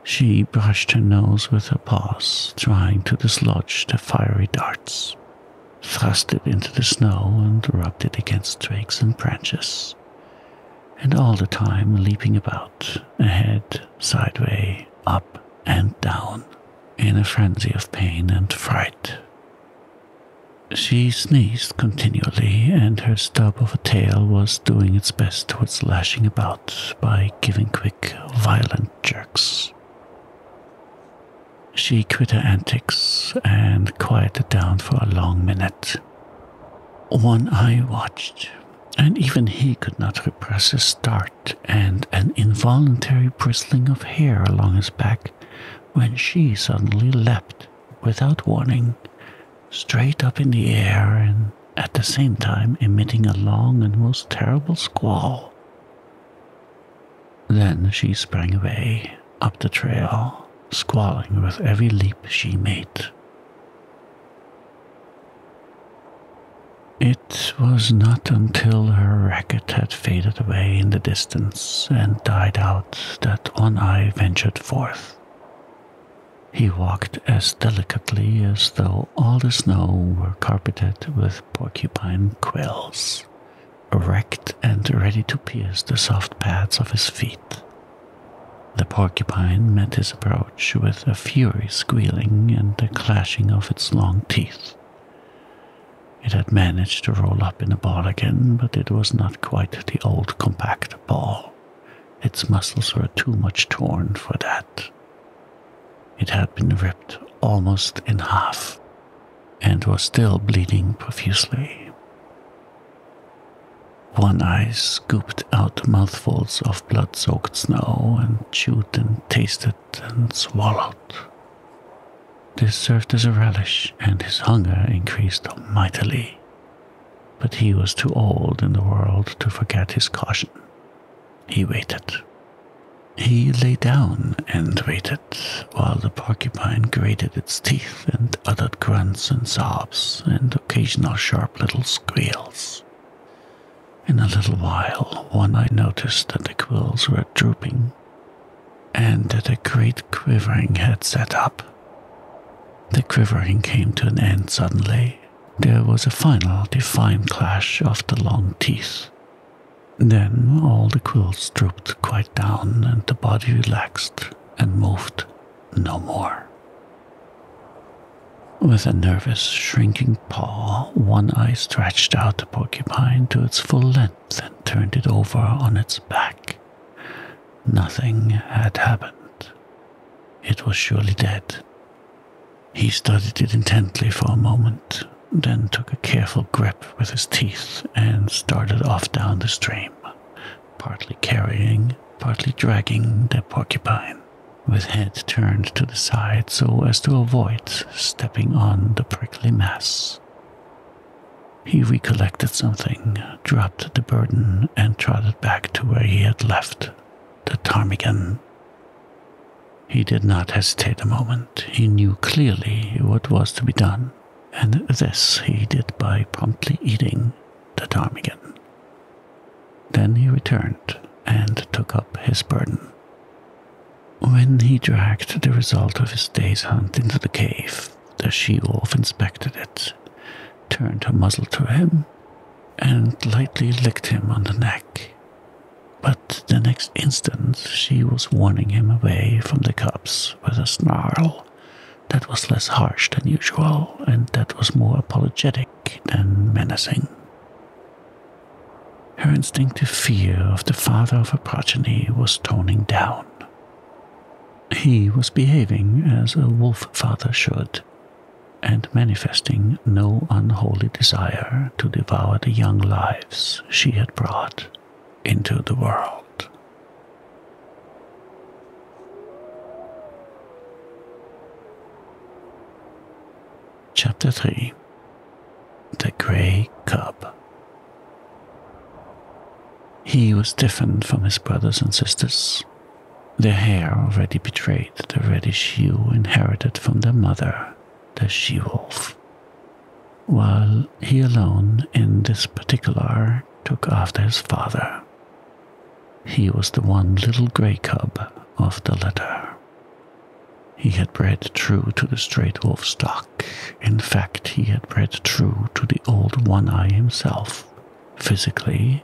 [SPEAKER 1] She brushed her nose with her paws, trying to dislodge the fiery darts, thrust it into the snow, and rubbed it against twigs and branches, and all the time leaping about, ahead, sideway, up, and down, in a frenzy of pain and fright. She sneezed continually, and her stub of a tail was doing its best towards lashing about by giving quick, violent jerks. She quit her antics and quieted down for a long minute. One Eye watched, and even he could not repress a start and an involuntary bristling of hair along his back when she suddenly leapt without warning, straight up in the air and at the same time emitting a long and most terrible squall. Then she sprang away up the trail, squalling with every leap she made. It was not until her racket had faded away in the distance and died out that one eye ventured forth. He walked as delicately as though all the snow were carpeted with porcupine quills, erect and ready to pierce the soft pads of his feet. The porcupine met his approach with a fury squealing and the clashing of its long teeth. It had managed to roll up in a ball again, but it was not quite the old compact ball. Its muscles were too much torn for that. It had been ripped almost in half and was still bleeding profusely. One Eye scooped out mouthfuls of blood soaked snow and chewed and tasted and swallowed. This served as a relish, and his hunger increased mightily. But he was too old in the world to forget his caution. He waited. He lay down and waited while the porcupine grated its teeth and uttered grunts and sobs and occasional sharp little squeals. In a little while, one eye noticed that the quills were drooping and that a great quivering had set up. The quivering came to an end suddenly. There was a final, defined clash of the long teeth. Then all the quills drooped quite down and the body relaxed and moved no more. With a nervous, shrinking paw, one eye stretched out the porcupine to its full length and turned it over on its back. Nothing had happened. It was surely dead. He studied it intently for a moment, then took a careful grip with his teeth and started off down the stream, partly carrying, partly dragging the porcupine, with head turned to the side so as to avoid stepping on the prickly mass. He recollected something, dropped the burden, and trotted back to where he had left the ptarmigan. He did not hesitate a moment. He knew clearly what was to be done, and this he did by promptly eating the ptarmigan. Then he returned and took up his burden. When he dragged the result of his day's hunt into the cave, the she wolf inspected it, turned her muzzle to him, and lightly licked him on the neck. But the next instant she was warning him away from the cubs with a snarl that was less harsh than usual and that was more apologetic than menacing. Her instinctive fear of the father of her progeny was toning down, he was behaving as a wolf father should, and manifesting no unholy desire to devour the young lives she had brought into the world. Chapter 3 The Grey Cub he was different from his brothers and sisters. Their hair already betrayed the reddish hue inherited from their mother, the she wolf. While he alone, in this particular, took after his father. He was the one little grey cub of the litter. He had bred true to the straight wolf stock. In fact, he had bred true to the old One Eye himself, physically,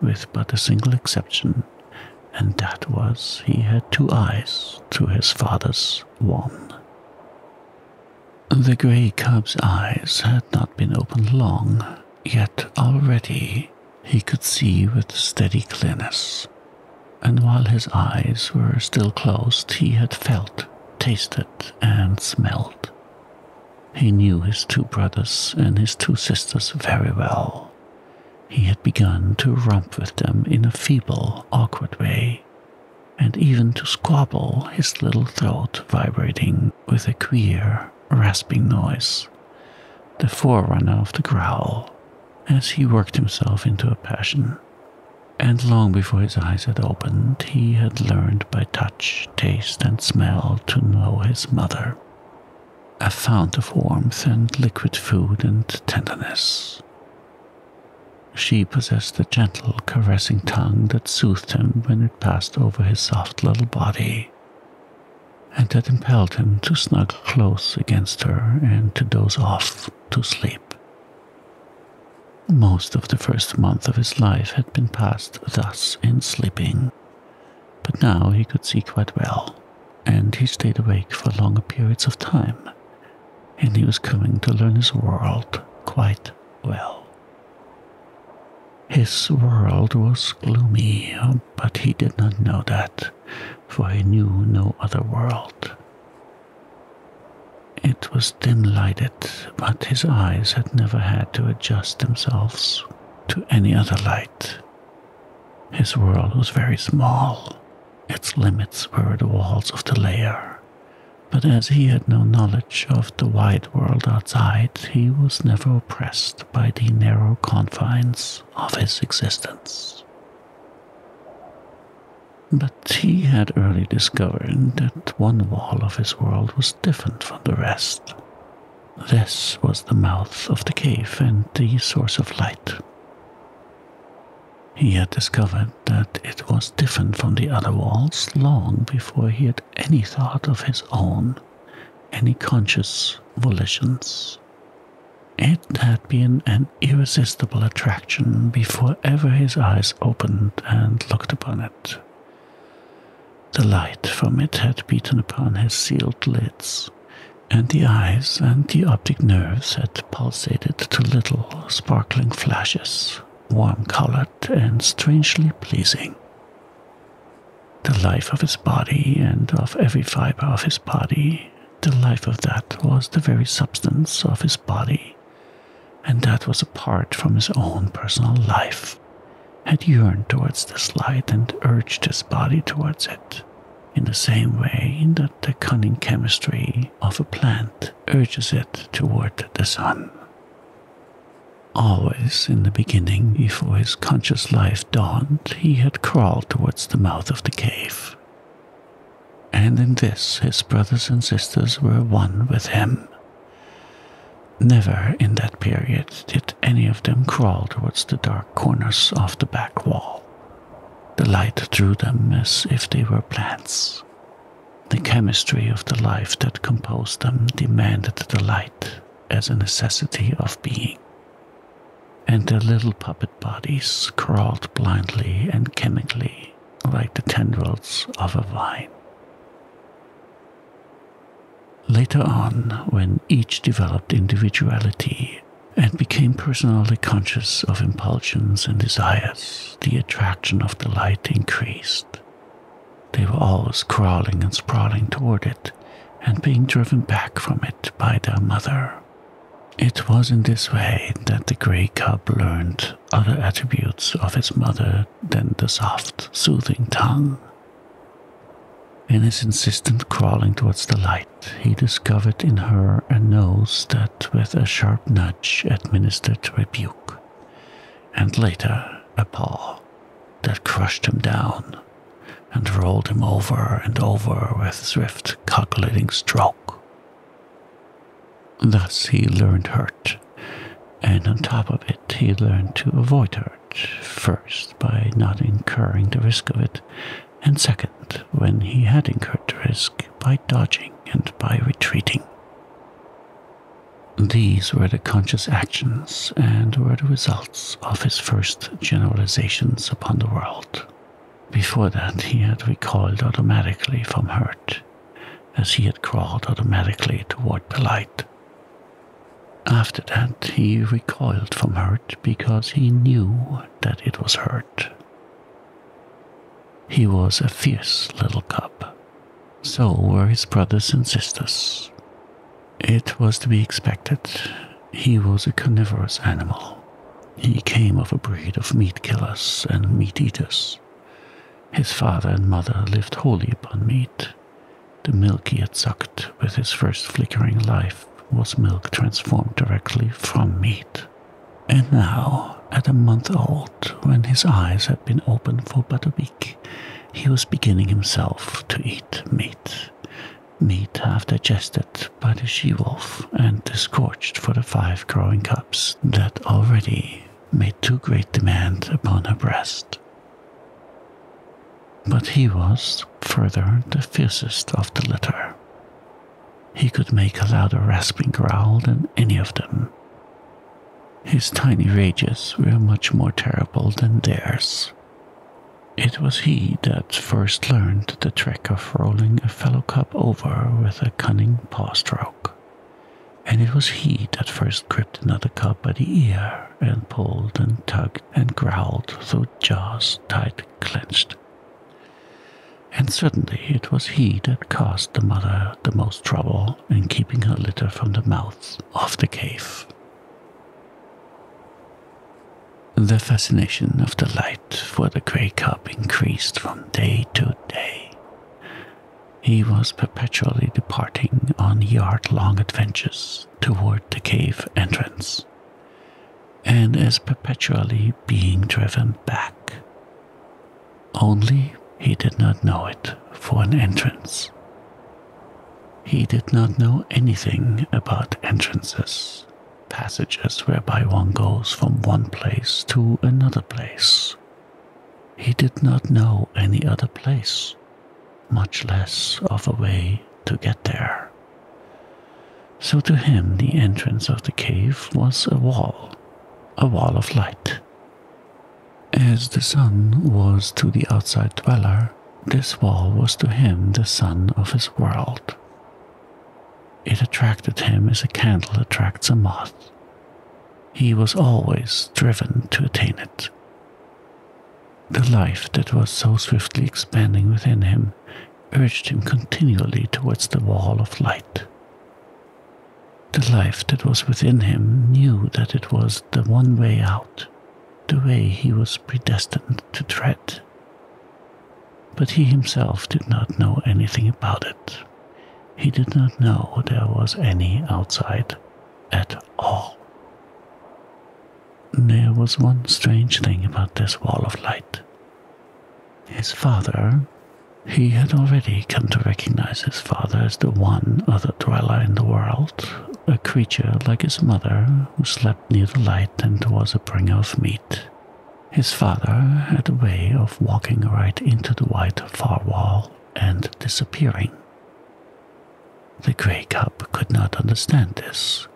[SPEAKER 1] with but a single exception, and that was he had two eyes to his father's one. The grey cub's eyes had not been opened long, yet already he could see with steady clearness. And while his eyes were still closed, he had felt, tasted, and smelled. He knew his two brothers and his two sisters very well. He had begun to romp with them in a feeble, awkward way, and even to squabble, his little throat vibrating with a queer, rasping noise, the forerunner of the growl, as he worked himself into a passion. And long before his eyes had opened, he had learned by touch taste, and smell to know his mother, a fount of warmth and liquid food and tenderness. She possessed the gentle, caressing tongue that soothed him when it passed over his soft little body, and that impelled him to snuggle close against her and to doze off to sleep. Most of the first month of his life had been passed thus in sleeping but now he could see quite well, and he stayed awake for longer periods of time, and he was coming to learn his world quite well. His world was gloomy, but he did not know that, for he knew no other world. It was dim lighted, but his eyes had never had to adjust themselves to any other light. His world was very small. Its limits were the walls of the lair. But as he had no knowledge of the wide world outside, he was never oppressed by the narrow confines of his existence. But he had early discovered that one wall of his world was different from the rest. This was the mouth of the cave and the source of light. He had discovered that it was different from the other walls long before he had any thought of his own, any conscious volitions. It had been an irresistible attraction before ever his eyes opened and looked upon it, the light from it had beaten upon his sealed lids, and the eyes and the optic nerves had pulsated to little sparkling flashes, warm colored and strangely pleasing. The life of his body and of every fiber of his body, the life of that was the very substance of his body, and that was apart from his own personal life life had yearned towards this light and urged his body towards it, in the same way that the cunning chemistry of a plant urges it toward the sun. Always in the beginning, before his conscious life dawned, he had crawled towards the mouth of the cave. And in this his brothers and sisters were one with him. Never in that period did any of them crawl towards the dark corners of the back wall. The light drew them as if they were plants. The chemistry of the life that composed them demanded the light as a necessity of being. And their little puppet bodies crawled blindly and chemically like the tendrils of a vine. Later on, when each developed individuality and became personally conscious of impulses and desires, the attraction of the light increased. They were always crawling and sprawling toward it and being driven back from it by their mother. It was in this way that the grey cub learned other attributes of its mother than the soft, soothing tongue. In his insistent crawling towards the light, he discovered in her a nose that, with a sharp nudge, administered rebuke, and later a paw that crushed him down and rolled him over and over with swift, calculating stroke. Thus he learned hurt, and on top of it, he learned to avoid her first by not incurring the risk of it, and second, when he had incurred the risk, by dodging and by retreating. These were the conscious actions and were the results of his first generalizations upon the world. Before that, he had recoiled automatically from hurt, as he had crawled automatically toward the light. After that, he recoiled from hurt because he knew that it was hurt. He was a fierce little cub. So were his brothers and sisters. It was to be expected. He was a carnivorous animal. He came of a breed of meat killers and meat eaters. His father and mother lived wholly upon meat. The milk he had sucked with his first flickering life was milk transformed directly from meat. And now, at a month old, when his eyes had been open for but a week, he was beginning himself to eat meat. Meat half digested by the she wolf and disgorged for the five growing cubs that already made too great demand upon her breast. But he was, further, the fiercest of the litter. He could make a louder rasping growl than any of them. His tiny rages were much more terrible than theirs. It was he that first learned the trick of rolling a fellow cub over with a cunning paw stroke, and it was he that first gripped another cub by the ear and pulled and tugged and growled, through jaws tight clenched. And certainly it was he that caused the mother the most trouble in keeping her litter from the mouth of the cave. The fascination of the light for the grey cub increased from day to day. He was perpetually departing on yard long adventures toward the cave entrance and is perpetually being driven back. Only he did not know it for an entrance. He did not know anything about entrances, passages whereby one goes from one place to another place. He did not know any other place much less of a way to get there. So to him, the entrance of the cave was a wall, a wall of light. As the sun was to the outside dweller, this wall was to him the sun of his world. It attracted him as a candle attracts a moth. He was always driven to attain it. The life that was so swiftly expanding within him urged him continually towards the wall of light. The life that was within him knew that it was the one way out, the way he was predestined to tread. But he himself did not know anything about it. He did not know there was any outside at all. There was one strange thing about this wall of light. His father, he had already come to recognize his father as the one other dweller in the world, a creature like his mother who slept near the light and was a bringer of meat. His father had a way of walking right into the white far wall and disappearing. The grey cub could not understand this,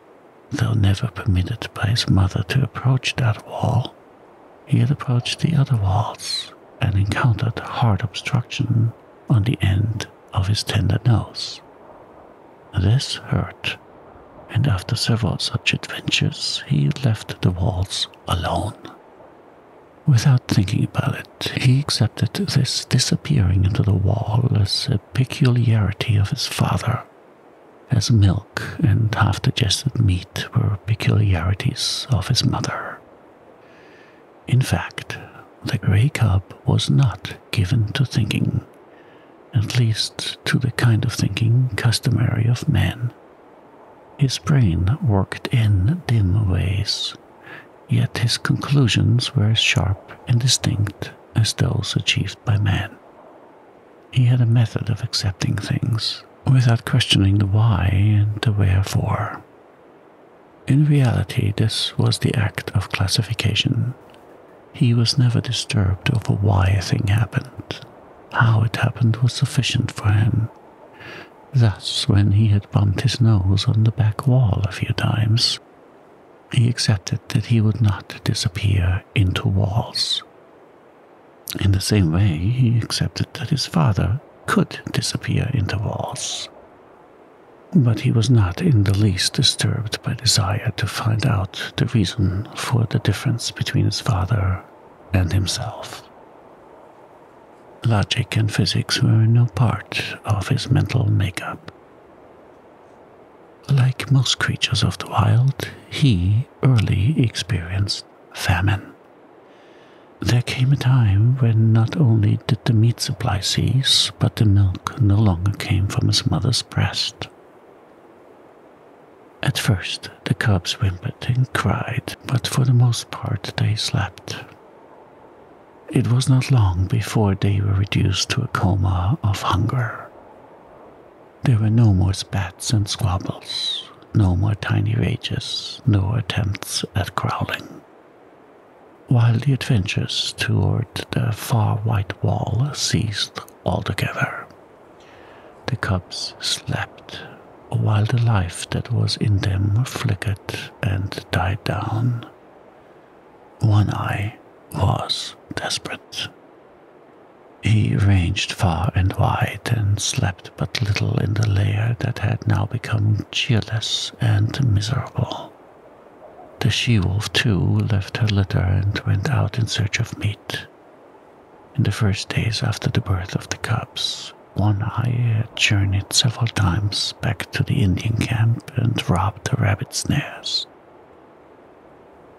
[SPEAKER 1] Though never permitted by his mother to approach that wall, he had approached the other walls and encountered hard obstruction on the end of his tender nose. This hurt, and after several such adventures, he left the walls alone. Without thinking about it, he accepted this discipline. Peering into the wall as a peculiarity of his father, as milk and half digested meat were peculiarities of his mother. In fact, the grey cub was not given to thinking, at least to the kind of thinking customary of man. His brain worked in dim ways, yet his conclusions were sharp and distinct as those achieved by man. He had a method of accepting things without questioning the why and the wherefore. In reality, this was the act of classification. He was never disturbed over why a thing happened. How it happened was sufficient for him. Thus, when he had bumped his nose on the back wall a few times, he accepted that he would not disappear into walls. In the same way, he accepted that his father could disappear into walls. But he was not in the least disturbed by desire to find out the reason for the difference between his father and himself. Logic and physics were no part of his mental makeup. Like most creatures of the wild, he early experienced famine. There came a time when not only did the meat supply cease, but the milk no longer came from his mother's breast. At first, the cubs whimpered and cried, but for the most part they slept. It was not long before they were reduced to a coma of hunger. There were no more spats and squabbles, no more tiny rages, no attempts at growling. While the adventures toward the far white wall ceased altogether, the cubs slept while the life that was in them flickered and died down. One Eye was desperate. He ranged far and wide and slept but little in the lair that had now become cheerless and miserable. The she wolf, too, left her litter and went out in search of meat. In the first days after the birth of the cubs, One Eye had journeyed several times back to the Indian camp and robbed the rabbit snares.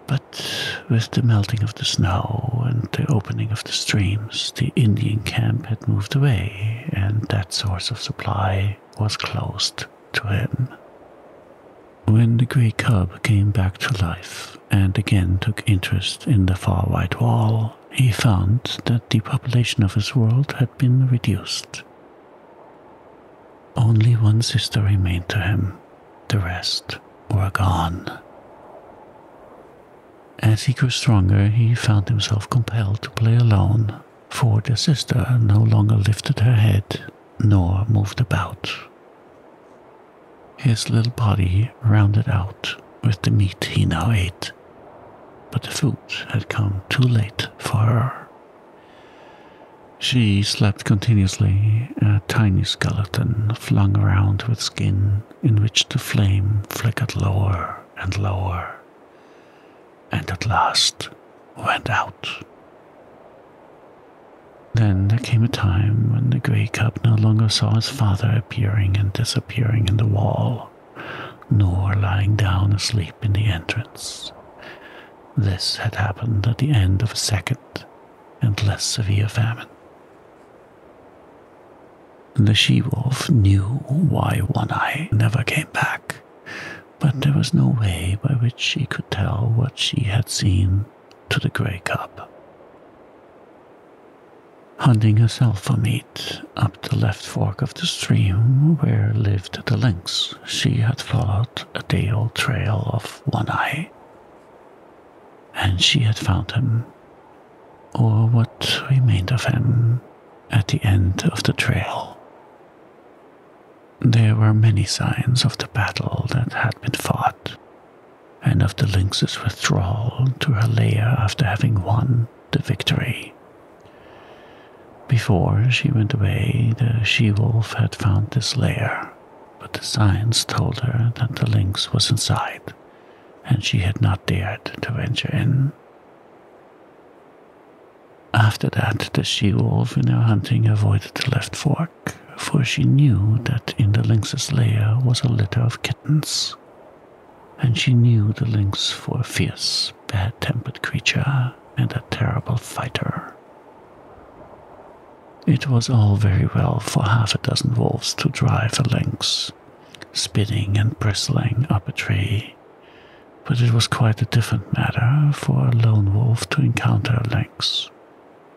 [SPEAKER 1] But with the melting of the snow and the opening of the streams, the Indian camp had moved away, and that source of supply was closed to him. When the grey cub came back to life and again took interest in the far white wall, he found that the population of his world had been reduced. Only one sister remained to him, the rest were gone. As he grew stronger, he found himself compelled to play alone, for the sister no longer lifted her head nor moved about. His little body rounded out with the meat he now ate, but the food had come too late for her. She slept continuously, a tiny skeleton flung around with skin in which the flame flickered lower and lower, and at last went out. Then there came a time when the grey cub no longer saw his father appearing and disappearing in the wall, nor lying down asleep in the entrance. This had happened at the end of a second and less severe famine. The she wolf knew why One Eye never came back, but there was no way by which she could tell what she had seen to the grey cub. Hunting herself for meat up the left fork of the stream where lived the lynx, she had followed a day old trail of One Eye. And she had found him, or what remained of him, at the end of the trail. There were many signs of the battle that had been fought, and of the lynx's withdrawal to her lair after having won the victory. Before she went away, the she wolf had found this lair but the signs told her that the lynx was inside, and she had not dared to venture in. After that, the she wolf in her hunting avoided the left fork, for she knew that in the lynx's lair was a litter of kittens, and she knew the lynx for a fierce, bad tempered creature and a terrible fighter. It was all very well for half a dozen wolves to drive a lynx, spinning and bristling up a tree, but it was quite a different matter for a lone wolf to encounter a lynx,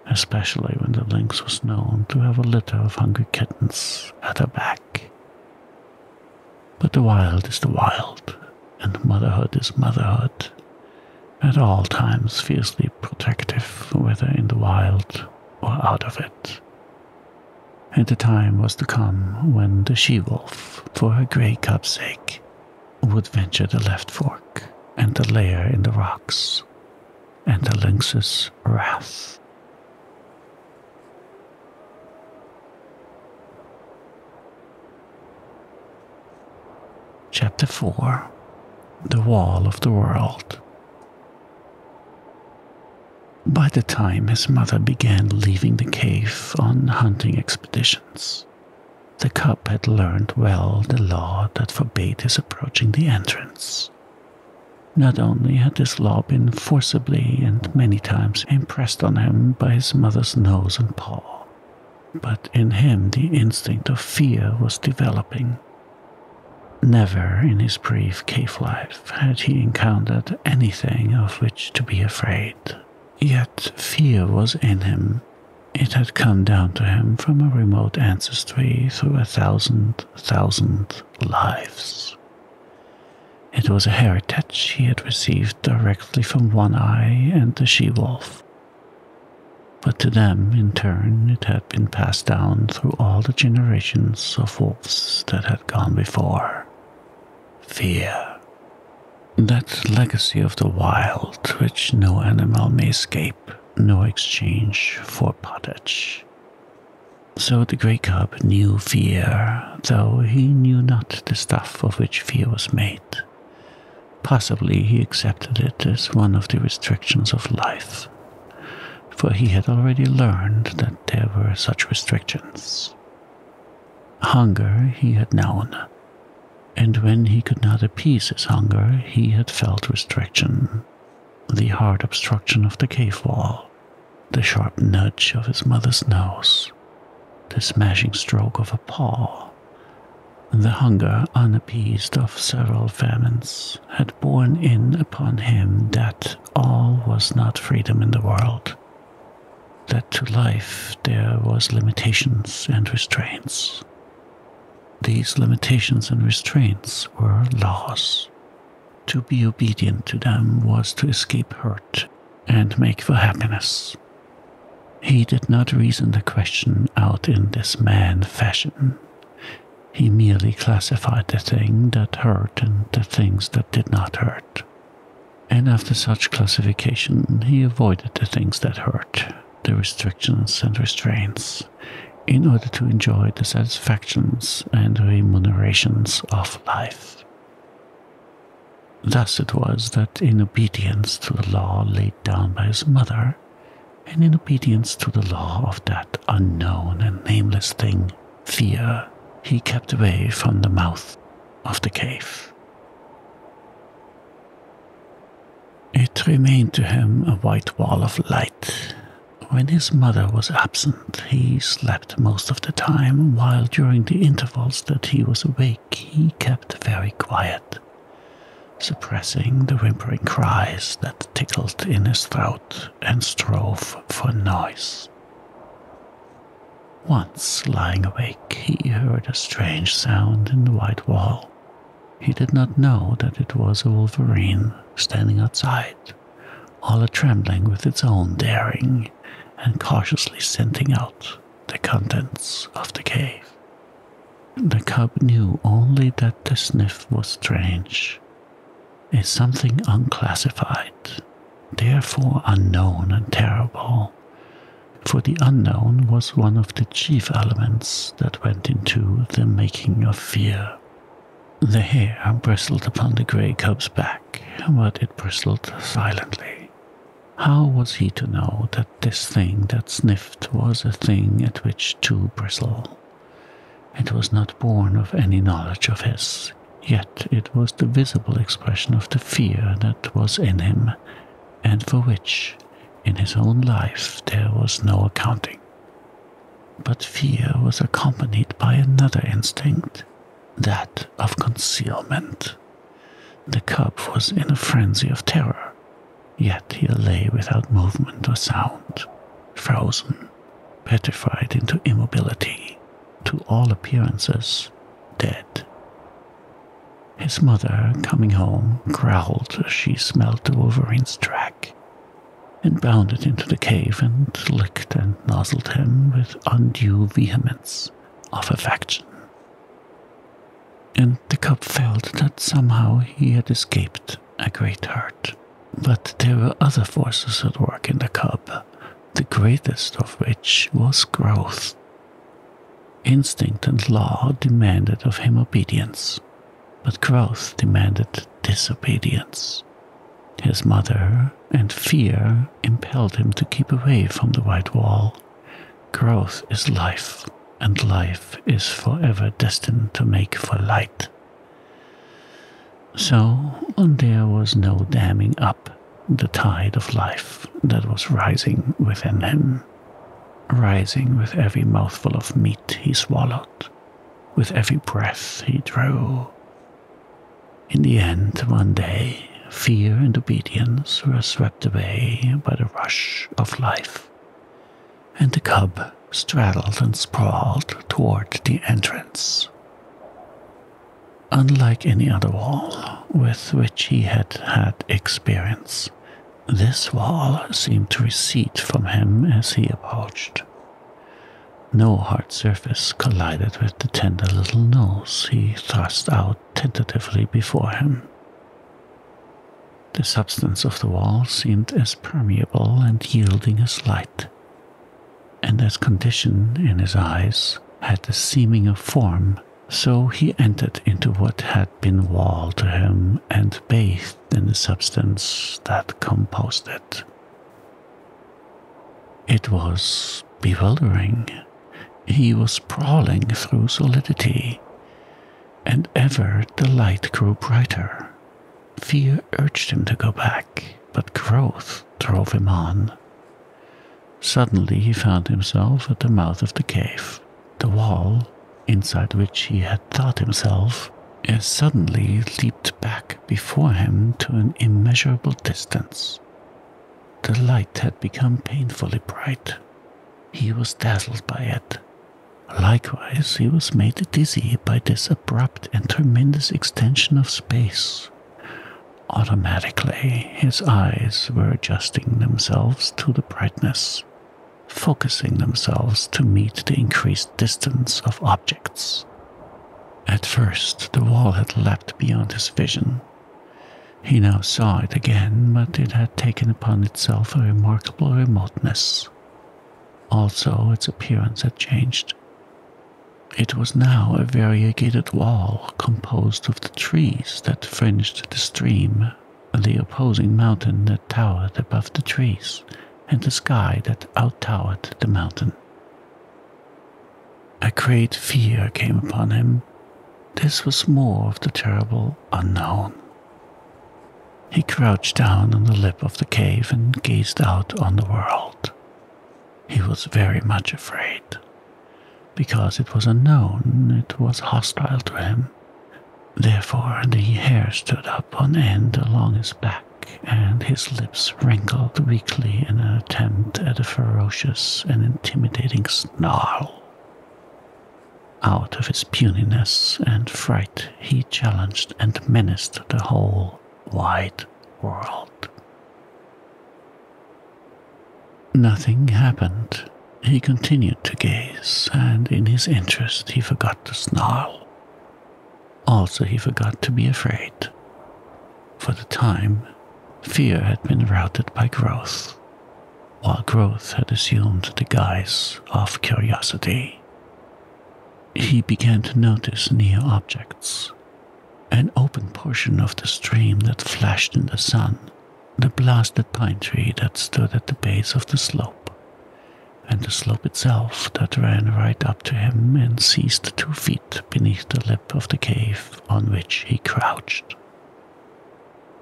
[SPEAKER 1] especially when the lynx was known to have a litter of hungry kittens at her back. But the wild is the wild, and motherhood is motherhood, at all times fiercely protective, whether in the wild or out of it. And the time was to come when the she wolf, for her grey cub's sake, would venture the left fork and the lair in the rocks, and the lynx's wrath. Chapter 4 The Wall of the World. By the time his mother began leaving the cave on hunting expeditions, the cub had learned well the law that forbade his approaching the entrance. Not only had this law been forcibly and many times impressed on him by his mother's nose and paw, but in him the instinct of fear was developing. Never in his brief cave life had he encountered anything of which to be afraid. Yet fear was in him. It had come down to him from a remote ancestry through a thousand, thousand lives. It was a heritage he had received directly from One Eye and the she wolf, but to them, in turn, it had been passed down through all the generations of wolves that had gone before fear. That legacy of the wild which no animal may escape, no exchange for pottage. So the grey cub knew fear, though he knew not the stuff of which fear was made. Possibly he accepted it as one of the restrictions of life, for he had already learned that there were such restrictions. Hunger he had known, and when he could not appease his hunger, he had felt restriction, the hard obstruction of the cave wall, the sharp nudge of his mother's nose, the smashing stroke of a paw, the hunger unappeased of several famines had borne in upon him that all was not freedom in the world, that to life there was limitations and restraints. These limitations and restraints were laws. To be obedient to them was to escape hurt and make for happiness. He did not reason the question out in this man fashion he merely classified the things that hurt and the things that did not hurt. And after such classification, he avoided the things that hurt, the restrictions and restraints, in order to enjoy the satisfactions and remunerations of life. Thus it was that, in obedience to the law laid down by his mother, and in obedience to the law of that unknown and nameless thing, fear, he kept away from the mouth of the cave. It remained to him a white wall of light. When his mother was absent, he slept most of the time, while during the intervals that he was awake, he kept very quiet suppressing the whimpering cries that tickled in his throat and strove for noise. Once lying awake, he heard a strange sound in the white wall. He did not know that it was a wolverine standing outside, all a trembling with its own daring and cautiously scenting out the contents of the cave. The cub knew only that the sniff was strange, a something unclassified, therefore unknown and terrible, for the unknown was one of the chief elements that went into the making of fear. The hair bristled upon the grey cub's back, but it bristled silently. How was he to know that this thing that sniffed was a thing at which to bristle? It was not born of any knowledge of his, yet it was the visible expression of the fear that was in him, and for which, in his own life, there was no accounting. But fear was accompanied by another instinct, that of concealment. The cub was in a frenzy of terror, Yet he lay without movement or sound, frozen, petrified into immobility, to all appearances dead. His mother, coming home, growled as she smelt the wolverine's track and bounded into the cave and licked and nozzled him with undue vehemence of affection. And the cub felt that somehow he had escaped a great hurt, But there were other forces at work in the cub, the greatest of which was growth. Instinct and law demanded of him obedience, but growth demanded disobedience. His mother and fear impelled him to keep away from the white wall. Growth is life, and life is forever destined to make for light. So there was no damming up the tide of life that was rising within him, rising with every mouthful of meat he swallowed, with every breath he drew. In the end, one day, fear and obedience were swept away by the rush of life, and the cub straddled and sprawled toward the entrance. Unlike any other wall with which he had had experience, this wall seemed to recede from him as he approached. No hard surface collided with the tender little nose he thrust out tentatively before him. The substance of the wall seemed as permeable and yielding as light, and as condition in his eyes had the seeming of form, so he entered into what had been wall to him and bathed in the substance that composed it. It was bewildering. He was crawling through solidity, and ever the light grew brighter, Fear urged him to go back, but growth drove him on. Suddenly he found himself at the mouth of the cave. The wall, inside which he had thought himself, had suddenly leaped back before him to an immeasurable distance. The light had become painfully bright. He was dazzled by it Likewise, he was made dizzy by this abrupt and tremendous extension of space. Automatically, his eyes were adjusting themselves to the brightness, focusing themselves to meet the increased distance of objects. At first, the wall had leapt beyond his vision. He now saw it again, but it had taken upon itself a remarkable remoteness. Also, its appearance had changed. It was now a variegated wall composed of the trees that fringed the stream, the opposing mountain that towered above the trees, and the sky that outtowered the mountain. A great fear came upon him. This was more of the terrible unknown. He crouched down on the lip of the cave and gazed out on the world. He was very much afraid. Because it was unknown, it was hostile to him. Therefore, the hair stood up on end along his back, and his lips wrinkled weakly in an attempt at a ferocious and intimidating snarl. Out of his puniness and fright, he challenged and menaced the whole wide world. Nothing happened. He continued to gaze, and in his interest he forgot to snarl. Also, he forgot to be afraid. For the time, fear had been routed by growth, while growth had assumed the guise of curiosity he began to notice near objects. An open portion of the stream that flashed in the sun, the blasted pine tree that stood at the base of the slope, and the slope itself that ran right up to him and ceased two feet beneath the lip of the cave on which he crouched.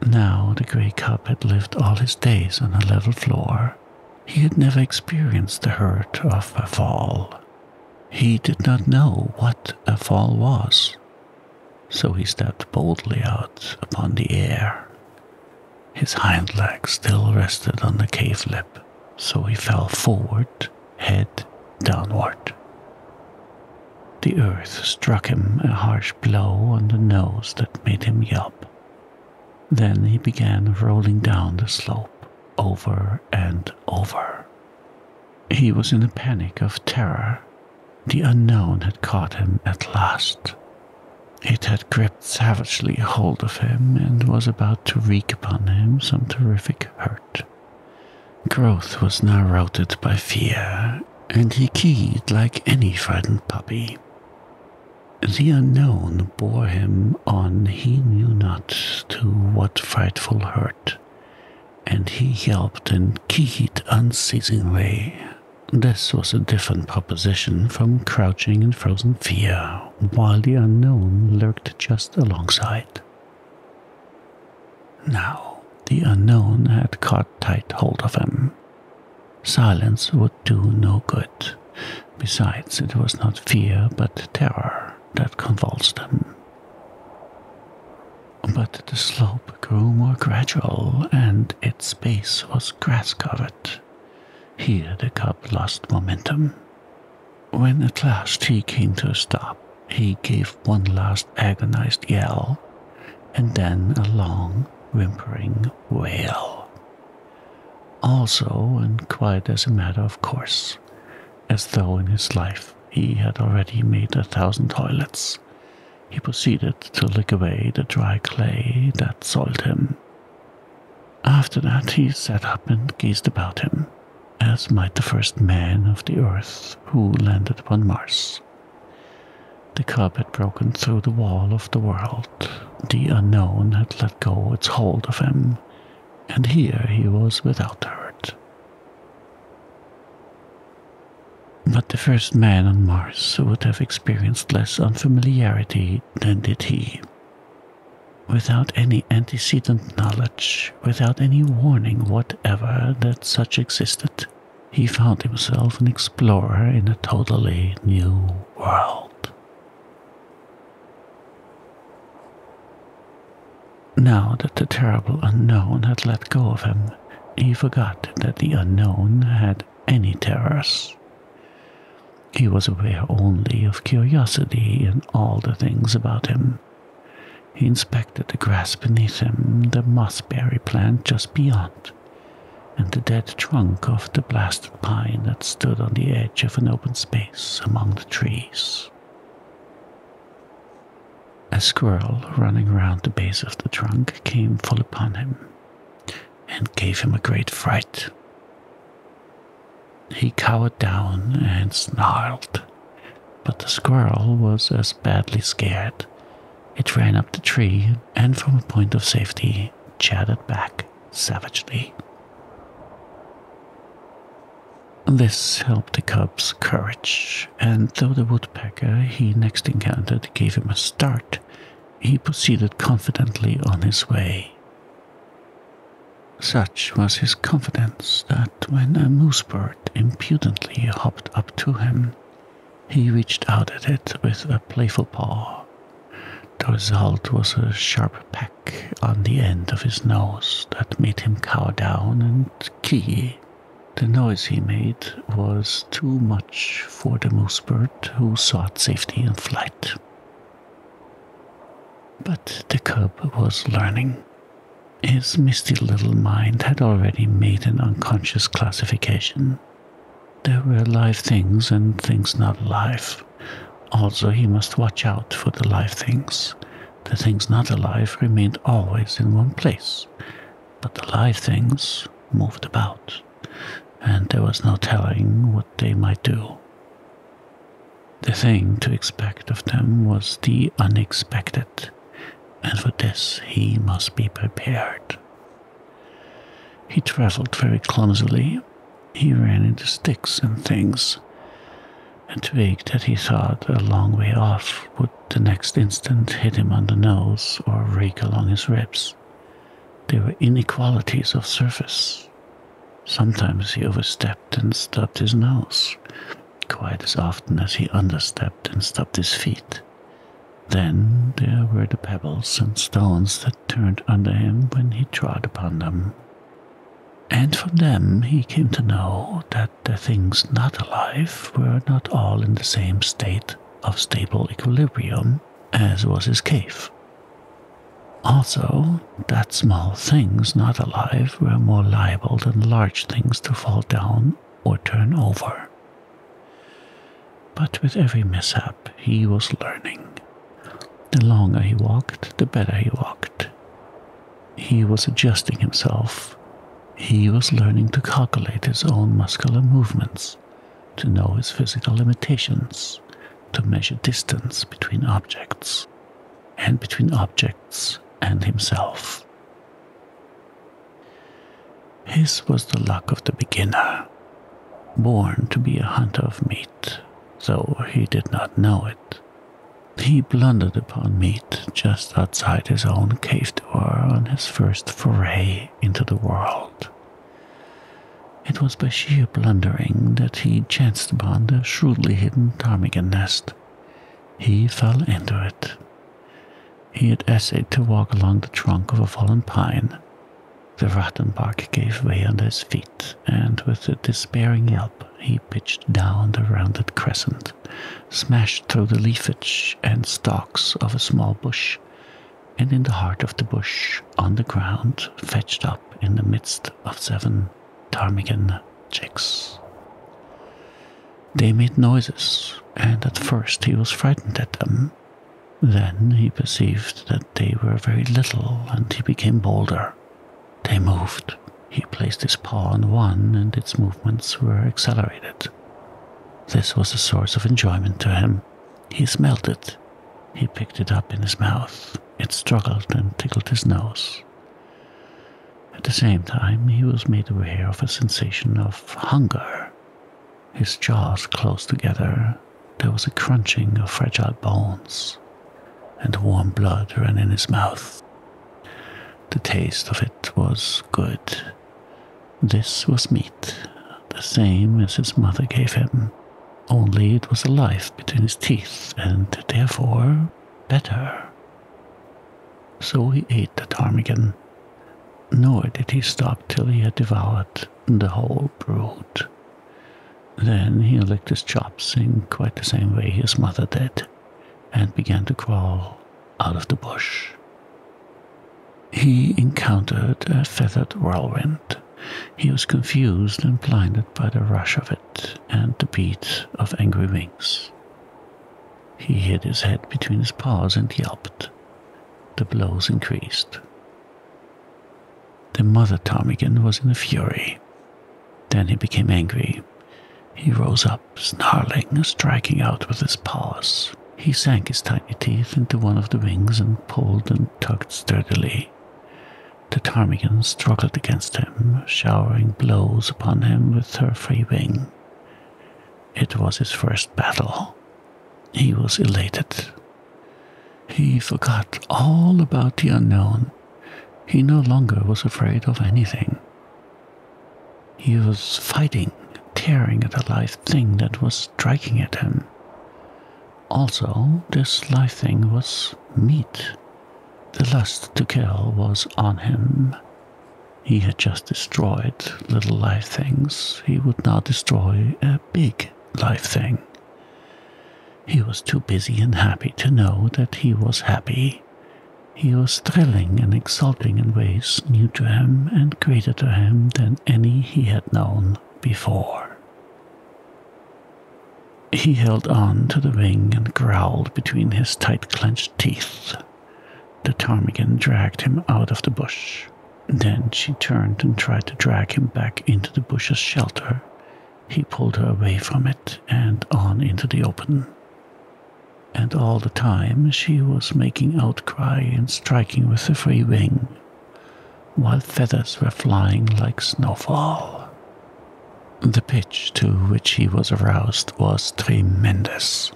[SPEAKER 1] Now the grey cub had lived all his days on a level floor he had never experienced the hurt of a fall. He did not know what a fall was, so he stepped boldly out upon the air. His hind leg still rested on the cave lip, so he fell forward, head downward. The earth struck him a harsh blow on the nose that made him yelp. Then he began rolling down the slope over and over. He was in a panic of terror. The unknown had caught him at last. It had gripped savagely hold of him and was about to wreak upon him some terrific hurt. Growth was now routed by fear, and he keyed like any frightened puppy. The unknown bore him on he knew not to what frightful hurt, and he yelped and keened unceasingly. This was a different proposition from crouching in frozen fear, while the unknown lurked just alongside. Now, the unknown had caught tight hold of him. Silence would do no good. Besides, it was not fear but terror that convulsed them. But the slope grew more gradual, and its base was grass covered. Here the cub lost momentum. When at last he came to a stop, he gave one last agonized yell, and then a long, whimpering wail. Also, and quite as a matter of course, as though in his life he had already made a thousand toilets, he proceeded to lick away the dry clay that soiled him. After that, he sat up and gazed about him, as might the first man of the earth who landed upon Mars. The cub had broken through the wall of the world. The unknown had let go its hold of him, and here he was without hurt. But the first man on Mars would have experienced less unfamiliarity than did he. Without any antecedent knowledge, without any warning whatever that such existed, he found himself an explorer in a totally new world. Now that the terrible unknown had let go of him, he forgot that the unknown had any terrors. He was aware only of curiosity in all the things about him. He inspected the grass beneath him, the mossberry plant just beyond, and the dead trunk of the blasted pine that stood on the edge of an open space among the trees. A squirrel running round the base of the trunk came full upon him and gave him a great fright. He cowered down and snarled, but the squirrel was as badly scared. It ran up the tree and, from a point of safety, chattered back savagely. This helped the cub's courage, and though the woodpecker he next encountered gave him a start, he proceeded confidently on his way. Such was his confidence that when a moosebird impudently hopped up to him, he reached out at it with a playful paw. The result was a sharp peck on the end of his nose that made him cow down and key. The noise he made was too much for the moose bird, who sought safety in flight. But the cub was learning. His misty little mind had already made an unconscious classification. There were live things and things not alive. Also, he must watch out for the live things. The things not alive remained always in one place, but the live things moved about, and there was no telling what they might do. The thing to expect of them was the unexpected, and for this he must be prepared. He traveled very clumsily. He ran into sticks and things a twig that he thought a long way off would the next instant hit him on the nose or rake along his ribs. There were inequalities of surface. Sometimes he overstepped and stubbed his nose, quite as often as he understepped and stubbed his feet. Then there were the pebbles and stones that turned under him when he trod upon them, and from them he came to know that the things not alive were not all in the same state of stable equilibrium as was his cave. Also, that small things not alive were more liable than large things to fall down or turn over. But with every mishap, he was learning, the longer he walked, the better he walked. He was adjusting himself. He was learning to calculate his own muscular movements, to know his physical limitations, to measure distance between objects, and between objects and himself. His was the luck of the beginner, born to be a hunter of meat, though he did not know it. He blundered upon meat just outside his own cave door on his first foray into the world. It was by sheer blundering that he chanced upon the shrewdly hidden ptarmigan nest. He fell into it. He had essayed to walk along the trunk of a fallen pine. The rotten bark gave way under his feet and with a despairing yelp he pitched down the rounded crescent, smashed through the leafage and stalks of a small bush, and in the heart of the bush, on the ground, fetched up in the midst of seven ptarmigan chicks. They made noises, and at first he was frightened at them. Then he perceived that they were very little, and he became bolder. They moved. He placed his paw on one, and its movements were accelerated. This was a source of enjoyment to him. He smelt it. He picked it up in his mouth. It struggled and tickled his nose. At the same time, he was made aware of a sensation of hunger. His jaws closed together. There was a crunching of fragile bones, and warm blood ran in his mouth. The taste of it was good. This was meat, the same as his mother gave him, only it was alive between his teeth and therefore better. So he ate the ptarmigan, nor did he stop till he had devoured the whole brood. Then he licked his chops in quite the same way his mother did and began to crawl out of the bush. He encountered a feathered whirlwind. He was confused and blinded by the rush of it and the beat of angry wings. He hid his head between his paws and yelped. The blows increased. The mother ptarmigan was in a fury. Then he became angry. He rose up, snarling, striking out with his paws. He sank his tiny teeth into one of the wings and pulled and tugged sturdily. The ptarmigan struggled against him, showering blows upon him with her free wing. It was his first battle. He was elated. He forgot all about the unknown he no longer was afraid of anything. He was fighting, tearing at a live thing that was striking at him. Also, this live thing was meat. The lust to kill was on him. He had just destroyed little live things. He would now destroy a big live thing. He was too busy and happy to know that he was happy. He was thrilling and exulting in ways new to him and greater to him than any he had known before. He held on to the ring and growled between his tight clenched teeth. The ptarmigan dragged him out of the bush. Then she turned and tried to drag him back into the bush's shelter, he pulled her away from it and on into the open. And all the time she was making outcry and striking with the free wing, while feathers were flying like snowfall. The pitch to which he was aroused was tremendous.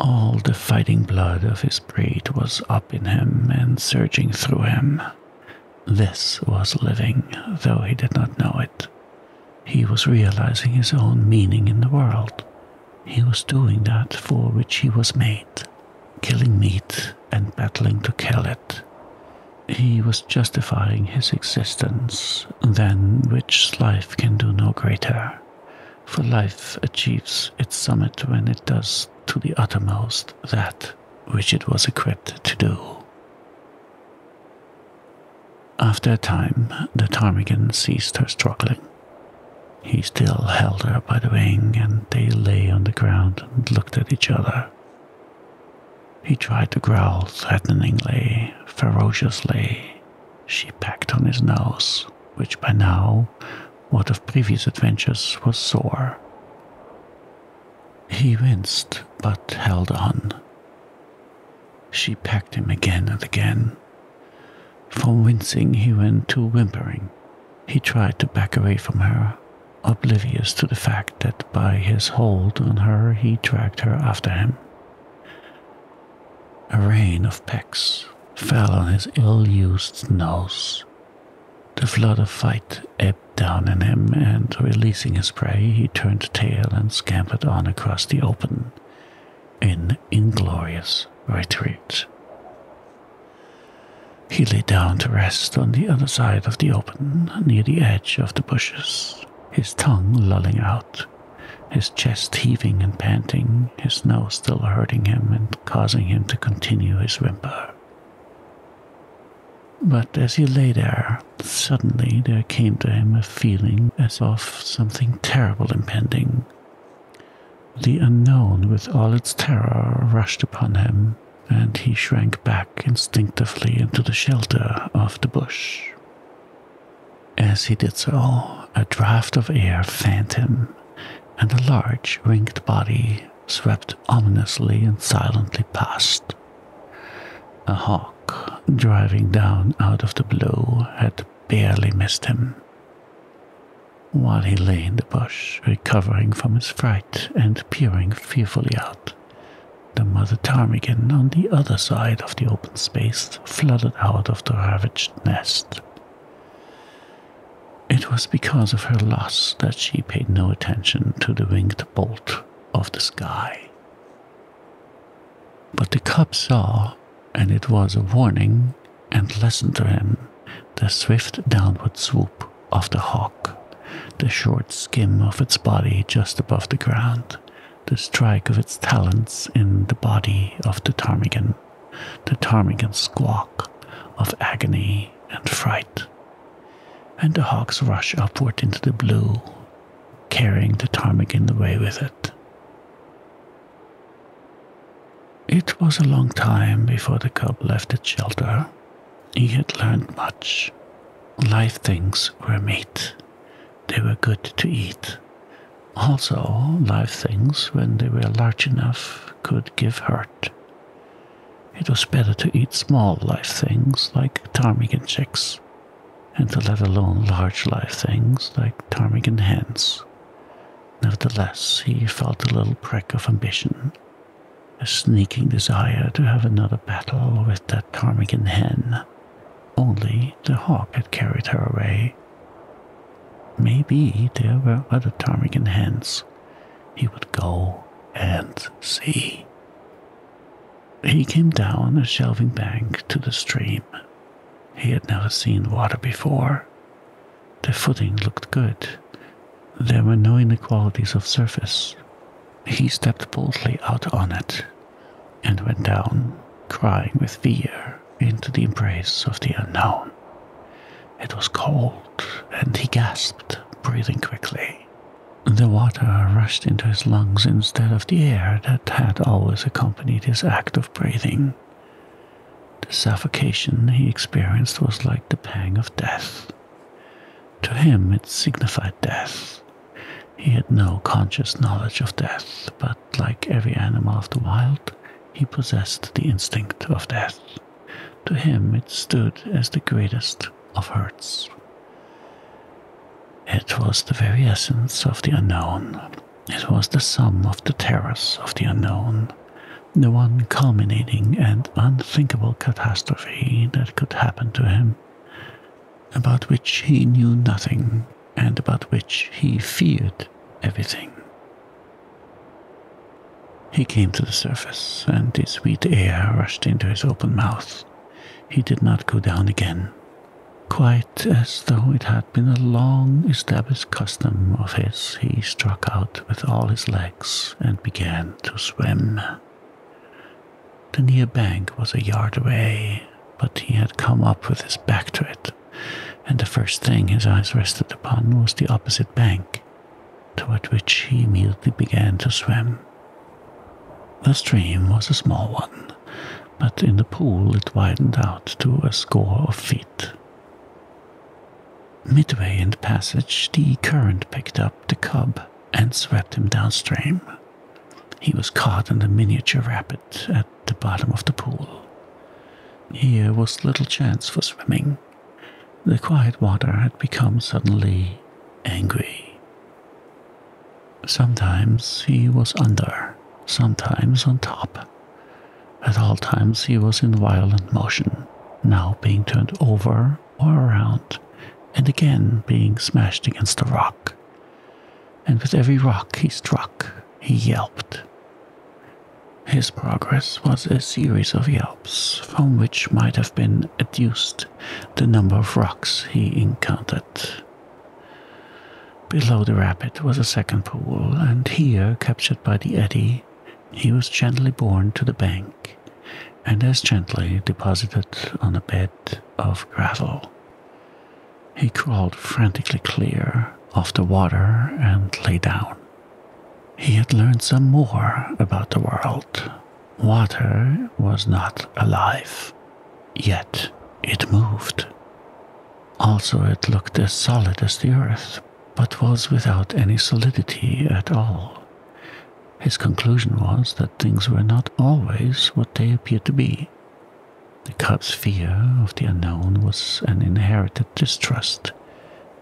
[SPEAKER 1] All the fighting blood of his breed was up in him and surging through him, this was living, though he did not know it. He was realizing his own meaning in the world. He was doing that for which he was made, killing meat and battling to kill it. He was justifying his existence, than which life can do no greater. For life achieves its summit when it does to the uttermost that which it was equipped to do. After a time, the ptarmigan ceased her struggling. He still held her by the wing, and they lay on the ground and looked at each other. He tried to growl threateningly, ferociously. She pecked on his nose, which by now, what of previous adventures, was sore. He winced, but held on. She pecked him again and again. From wincing, he went to whimpering. He tried to back away from her, oblivious to the fact that by his hold on her, he dragged her after him. A rain of pecks fell on his ill used nose. The flood of fight ebbed down in him, and releasing his prey, he turned tail and scampered on across the open in inglorious retreat. He lay down to rest on the other side of the open, near the edge of the bushes, his tongue lolling out, his chest heaving and panting, his nose still hurting him and causing him to continue his whimper. But as he lay there, suddenly there came to him a feeling as of something terrible impending. The unknown, with all its terror, rushed upon him, and he shrank back instinctively into the shelter of the bush. As he did so, a draft of air fanned him, and a large, winged body swept ominously and silently past. A hawk driving down out of the blue had barely missed him. While he lay in the bush, recovering from his fright and peering fearfully out, the mother ptarmigan on the other side of the open space flooded out of the ravaged nest. It was because of her loss that she paid no attention to the winged bolt of the sky. But the cub saw, and it was a warning, and listened to him the swift downward swoop of the hawk, the short skim of its body just above the ground, the strike of its talons in the body of the ptarmigan, the ptarmigan's squawk of agony and fright, and the hawk's rush upward into the blue carrying the ptarmigan away with it. It was a long time before the cub left its shelter. He had learned much. Live things were meat. They were good to eat. Also, live things, when they were large enough, could give hurt. It was better to eat small live things like ptarmigan chicks and to let alone large live things like ptarmigan hens. Nevertheless, he felt a little prick of ambition, a sneaking desire to have another battle with that ptarmigan hen. Only the hawk had carried her away. Maybe there were other ptarmigan hens. He would go and see. He came down the shelving bank to the stream. He had never seen water before. The footing looked good. There were no inequalities of surface. He stepped boldly out on it and went down, crying with fear, into the embrace of the unknown. It was cold, and he gasped, breathing quickly. The water rushed into his lungs instead of the air that had always accompanied his act of breathing. The suffocation he experienced was like the pang of death. To him, it signified death. He had no conscious knowledge of death, but like every animal of the wild, he possessed the instinct of death. To him, it stood as the greatest of hurts. It was the very essence of the unknown. It was the sum of the terrors of the unknown, the one culminating and unthinkable catastrophe that could happen to him, about which he knew nothing and about which he feared everything. He came to the surface, and the sweet air rushed into his open mouth. He did not go down again, Quite as though it had been a long established custom of his, he struck out with all his legs and began to swim. The near bank was a yard away, but he had come up with his back to it, and the first thing his eyes rested upon was the opposite bank, toward which he immediately began to swim. The stream was a small one, but in the pool it widened out to a score of feet. Midway in the passage, the current picked up the cub and swept him downstream. He was caught in a miniature rapid at the bottom of the pool. Here was little chance for swimming. The quiet water had become suddenly angry. Sometimes he was under, sometimes on top. At all times he was in violent motion, now being turned over or around, and again being smashed against a rock. And with every rock he struck, he yelped. His progress was a series of yelps, from which might have been adduced the number of rocks he encountered, Below the rapid was a second pool, and here, captured by the eddy, he was gently borne to the bank, and as gently deposited on a bed of gravel. He crawled frantically clear of the water and lay down. He had learned some more about the world. Water was not alive. Yet it moved. Also, it looked as solid as the earth, but was without any solidity at all. His conclusion was that things were not always what they appeared to be. The cub's fear of the unknown was an inherited distrust,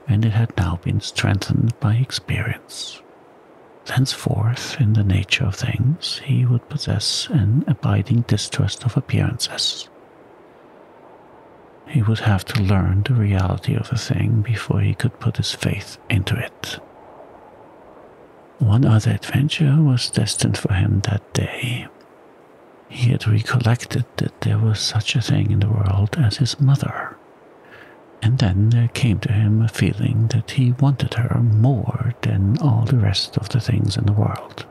[SPEAKER 1] and it had now been strengthened by experience. Thenceforth, in the nature of things, he would possess an abiding distrust of appearances. He would have to learn the reality of the thing before he could put his faith into it. One other adventure was destined for him that day. He had recollected that there was such a thing in the world as his mother. And then there came to him a feeling that he wanted her more than all the rest of the things in the world.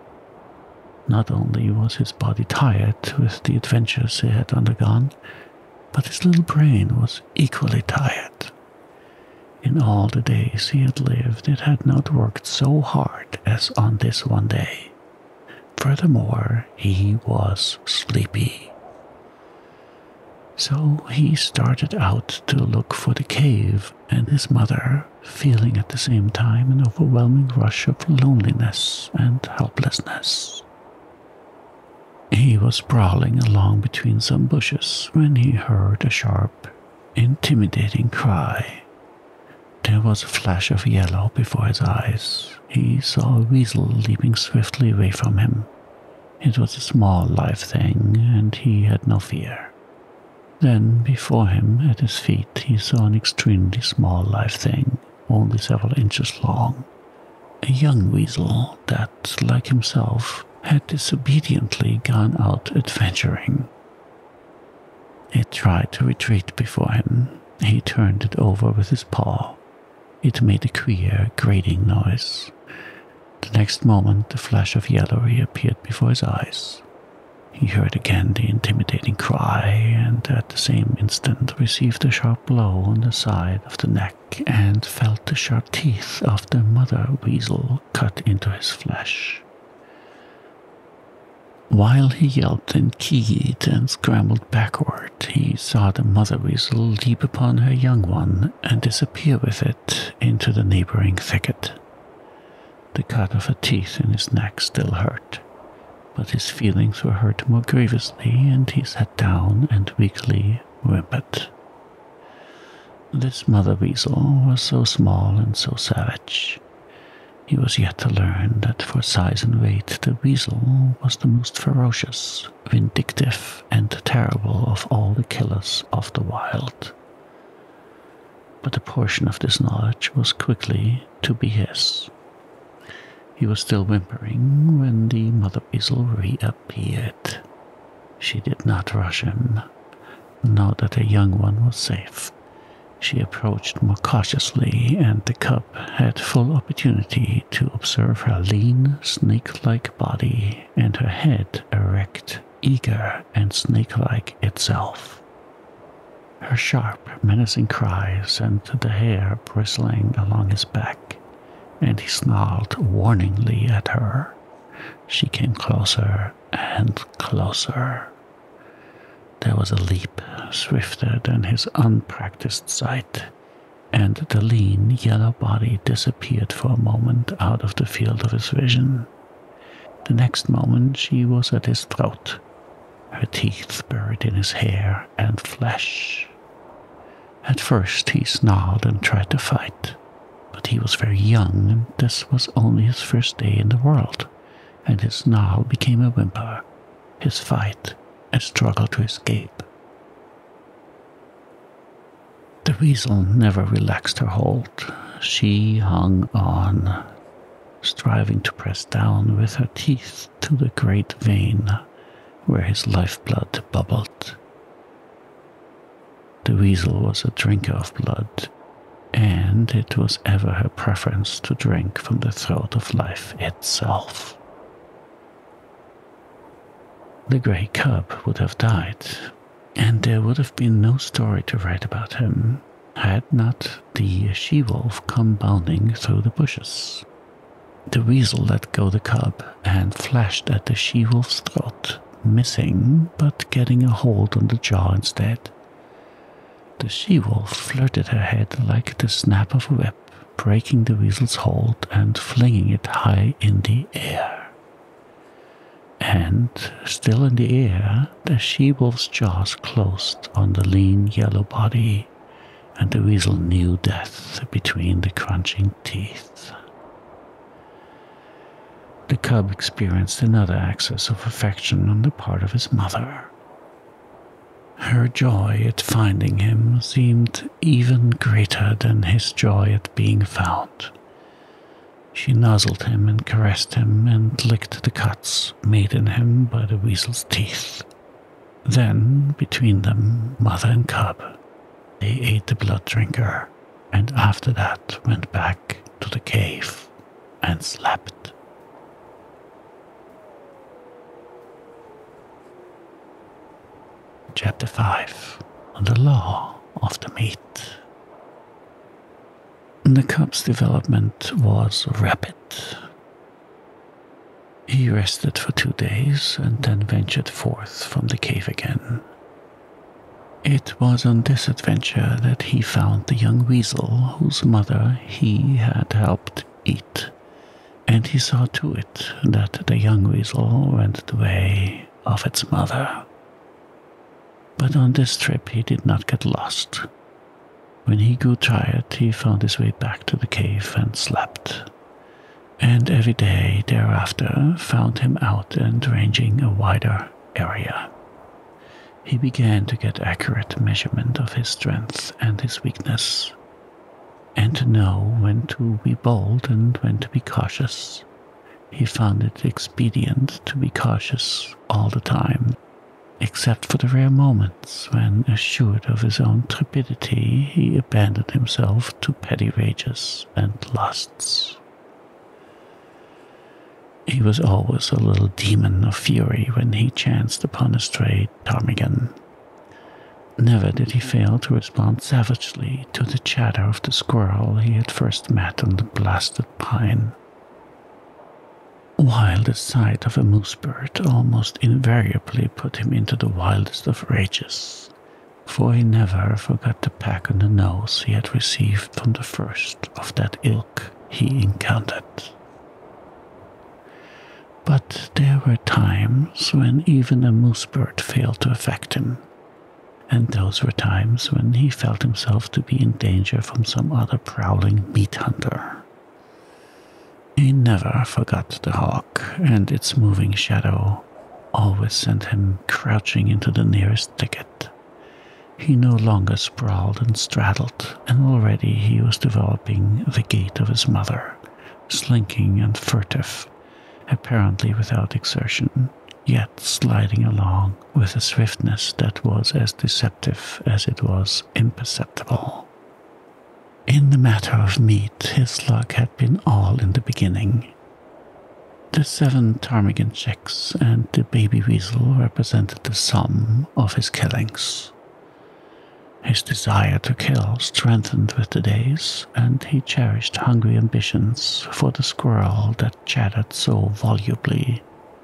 [SPEAKER 1] Not only was his body tired with the adventures he had undergone, but his little brain was equally tired. In all the days he had lived, it had not worked so hard as on this one day. Furthermore, he was sleepy. So he started out to look for the cave and his mother, feeling at the same time an overwhelming rush of loneliness and helplessness. He was prowling along between some bushes when he heard a sharp, intimidating cry. There was a flash of yellow before his eyes. He saw a weasel leaping swiftly away from him. It was a small live thing, and he had no fear. Then, before him, at his feet, he saw an extremely small live thing, only several inches long. A young weasel that, like himself, had disobediently gone out adventuring. It tried to retreat before him. He turned it over with his paw. It made a queer, grating noise. The next moment, a flash of yellow reappeared before his eyes. He heard again the intimidating cry, and at the same instant received a sharp blow on the side of the neck and felt the sharp teeth of the mother weasel cut into his flesh. While he yelped and keyed and scrambled backward, he saw the mother weasel leap upon her young one and disappear with it into the neighboring thicket. The cut of a teeth in his neck still hurt, but his feelings were hurt more grievously, and he sat down and weakly whimpered. This mother weasel was so small and so savage. He was yet to learn that for size and weight the weasel was the most ferocious, vindictive, and terrible of all the killers of the wild. But a portion of this knowledge was quickly to be his. He was still whimpering when the mother weasel reappeared. She did not rush him. Now that the young one was safe, she approached more cautiously, and the cub had full opportunity to observe her lean, snake like body and her head erect, eager, and snake-like itself. Her sharp, menacing cries sent the hair bristling along his back, and he snarled warningly at her. She came closer and closer. There was a leap swifter than his unpractised sight, and the lean yellow body disappeared for a moment out of the field of his vision. The next moment she was at his throat, her teeth buried in his hair and flesh. At first he snarled and tried to fight, but he was very young and this was only his first day in the world, and his snarl became a whimper, his fight a struggle to escape. The weasel never relaxed her hold. She hung on striving to press down with her teeth to the great vein where his life blood bubbled. The weasel was a drinker of blood, and it was ever her preference to drink from the throat of life itself. The grey cub would have died, and there would have been no story to write about him had not the she-wolf come bounding through the bushes. The weasel let go the cub and flashed at the she-wolf's throat, missing but getting a hold on the jaw instead. The she-wolf flirted her head like the snap of a whip, breaking the weasel's hold and flinging it high in the air. And, still in the air, the she wolf's jaws closed on the lean yellow body, and the weasel knew death between the crunching teeth. The cub experienced another access of affection on the part of his mother. Her joy at finding him seemed even greater than his joy at being found. She nuzzled him and caressed him and licked the cuts made in him by the weasel's teeth. Then, between them, mother and cub, they ate the blood drinker, and after that went back to the cave and slept. Chapter 5 The Law of the Meat the cub's development was rapid. He rested for two days and then ventured forth from the cave again. It was on this adventure that he found the young weasel whose mother he had helped eat, and he saw to it that the young weasel went the way of its mother. But on this trip he did not get lost, when he grew tired, he found his way back to the cave and slept. And every day thereafter found him out and ranging a wider area. He began to get accurate measurement of his strength and his weakness, and to know when to be bold and when to be cautious. He found it expedient to be cautious all the time Except for the rare moments when, assured of his own trepidity, he abandoned himself to petty rages and lusts. He was always a little demon of fury when he chanced upon a stray ptarmigan. Never did he fail to respond savagely to the chatter of the squirrel he had first met on the blasted pine while the sight of a moose bird almost invariably put him into the wildest of rages, for he never forgot the pack on the nose he had received from the first of that ilk he encountered. But there were times when even a moose bird failed to affect him, and those were times when he felt himself to be in danger from some other prowling meat hunter he never forgot the hawk, and its moving shadow always sent him crouching into the nearest thicket. He no longer sprawled and straddled, and already he was developing the gait of his mother, slinking and furtive, apparently without exertion, yet sliding along with a swiftness that was as deceptive as it was imperceptible. In the matter of meat, his luck had been all in the beginning. The seven ptarmigan chicks and the baby weasel represented the sum of his killings. His desire to kill strengthened with the days, and he cherished hungry ambitions for the squirrel that chattered so volubly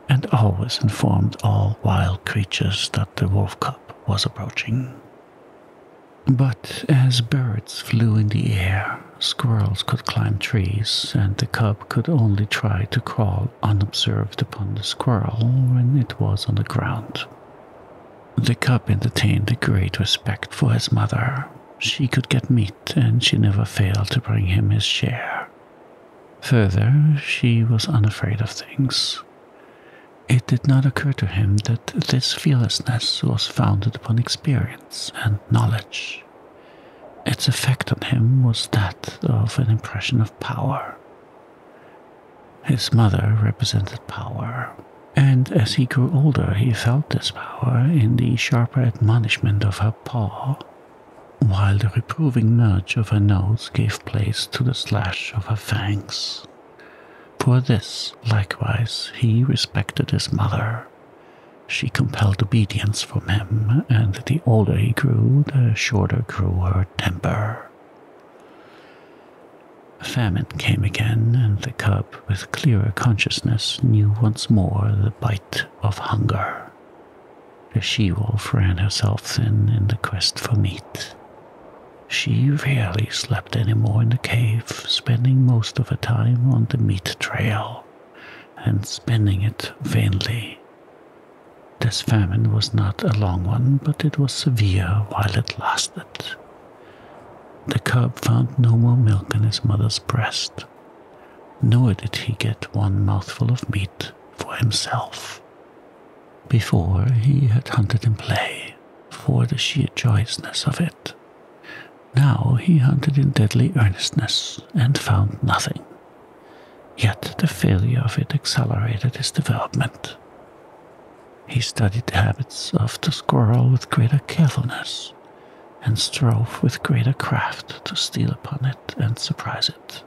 [SPEAKER 1] and always informed all wild creatures that the wolf cub was approaching. But as birds flew in the air, squirrels could climb trees, and the cub could only try to crawl unobserved upon the squirrel when it was on the ground. The cub entertained a great respect for his mother. She could get meat, and she never failed to bring him his share, Further, she was unafraid of things. It did not occur to him that this fearlessness was founded upon experience and knowledge. Its effect on him was that of an impression of power. His mother represented power, and as he grew older, he felt this power in the sharper admonishment of her paw while the reproving nudge of her nose gave place to the slash of her fangs. For this, likewise, he respected his mother. She compelled obedience from him, and the older he grew, the shorter grew her temper. Famine came again, and the cub, with clearer consciousness, knew once more the bite of hunger. The she wolf ran herself thin in the quest for meat. She rarely slept any more in the cave, spending most of her time on the meat trail and spending it vainly. This famine was not a long one, but it was severe while it lasted. The cub found no more milk in his mother's breast, nor did he get one mouthful of meat for himself. Before he had hunted in play for the sheer joyousness of it. Now he hunted in deadly earnestness and found nothing. Yet the failure of it accelerated his development. He studied the habits of the squirrel with greater carefulness and strove with greater craft to steal upon it and surprise it.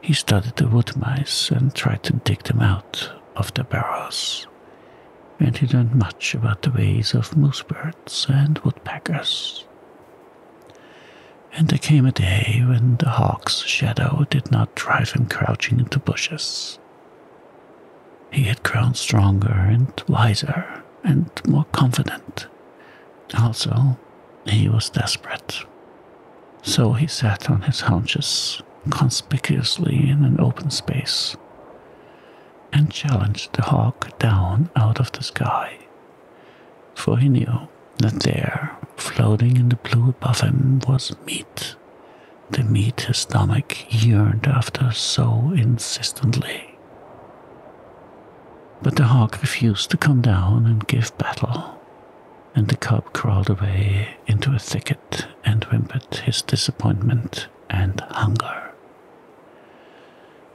[SPEAKER 1] He studied the wood mice and tried to dig them out of their burrows. And he learned much about the ways of moose birds and woodpeckers. And there came a day when the hawk's shadow did not drive him crouching into bushes. He had grown stronger and wiser and more confident. Also, he was desperate. So he sat on his haunches, conspicuously in an open space, and challenged the hawk down out of the sky. For he knew that there, floating in the blue above him, was meat, the meat his stomach yearned after so insistently. But the hawk refused to come down and give battle and the cub crawled away into a thicket and whimpered his disappointment and hunger.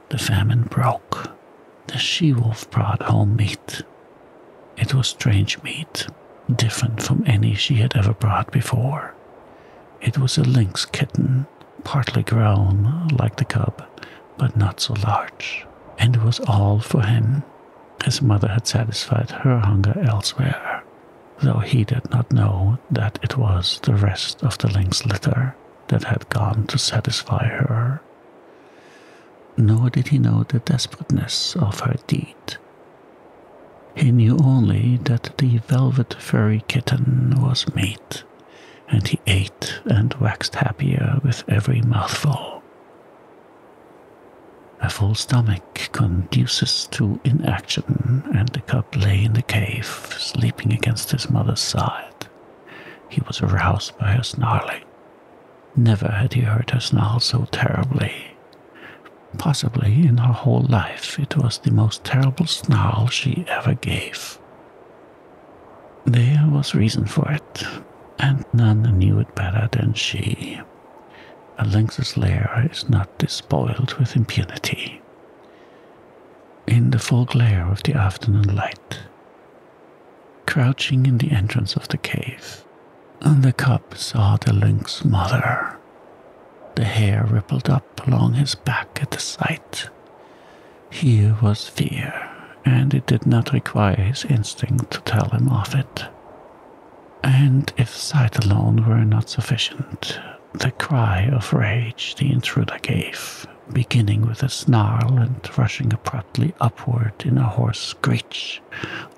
[SPEAKER 1] The famine broke. The she wolf brought home meat. It was strange meat, different from any she had ever brought before. It was a lynx kitten, partly grown, like the cub, but not so large, and it was all for him his mother had satisfied her hunger elsewhere, though he did not know that it was the rest of the lynx litter that had gone to satisfy her. Nor did he know the desperateness of her deed. He knew only that the velvet furry kitten was meat, and he ate and waxed happier with every mouthful. A full stomach conduces to inaction, and the cub lay in the cave, sleeping against his mother's side. He was aroused by her snarl. Never had he heard her snarl so terribly. Possibly in her whole life it was the most terrible snarl she ever gave. There was reason for it, and none knew it better than she. A lynx's lair is not despoiled with impunity. In the full glare of the afternoon light, crouching in the entrance of the cave, the cub saw the lynx mother. The hair rippled up along his back at the sight. Here was fear, and it did not require his instinct to tell him of it. And if sight alone were not sufficient, the cry of rage the intruder gave, beginning with a snarl and rushing abruptly upward in a hoarse screech,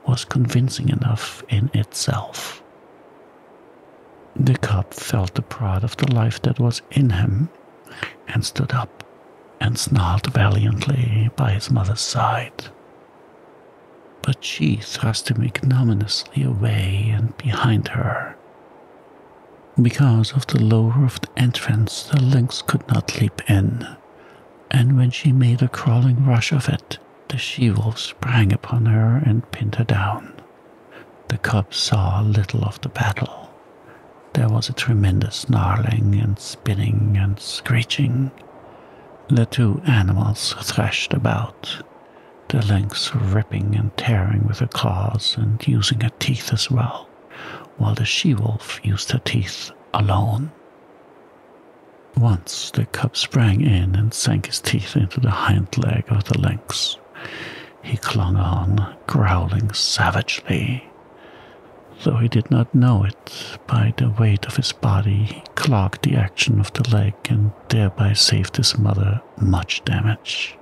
[SPEAKER 1] was convincing enough in itself. The cub felt the pride of the life that was in him and stood up and snarled valiantly by his mother's side but she thrust him ignominiously away and behind her. Because of the low roofed entrance, the lynx could not leap in, and when she made a crawling rush of it, the she wolf sprang upon her and pinned her down. The cub saw little of the battle. There was a tremendous snarling and spinning and screeching, the two animals thrashed about, The lynx ripping and tearing with her claws and using her teeth as well, while the she wolf used her teeth alone. Once the cub sprang in and sank his teeth into the hind leg of the lynx. He clung on, growling savagely. Though he did not know it by the weight of his body he clogged the action of the leg and thereby saved his mother much damage.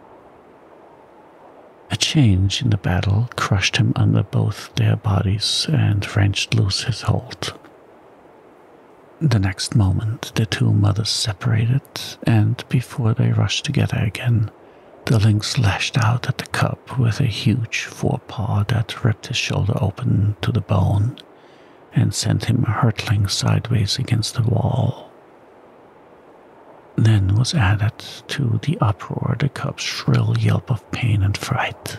[SPEAKER 1] A change in the battle crushed him under both their bodies and wrenched loose his hold. The next moment, the two mothers separated, and before they rushed together again, the lynx lashed out at the cub with a huge fore paw that ripped his shoulder open to the bone and sent him hurtling sideways against the wall. Then was added to the uproar the cub's shrill yelp of pain and fright.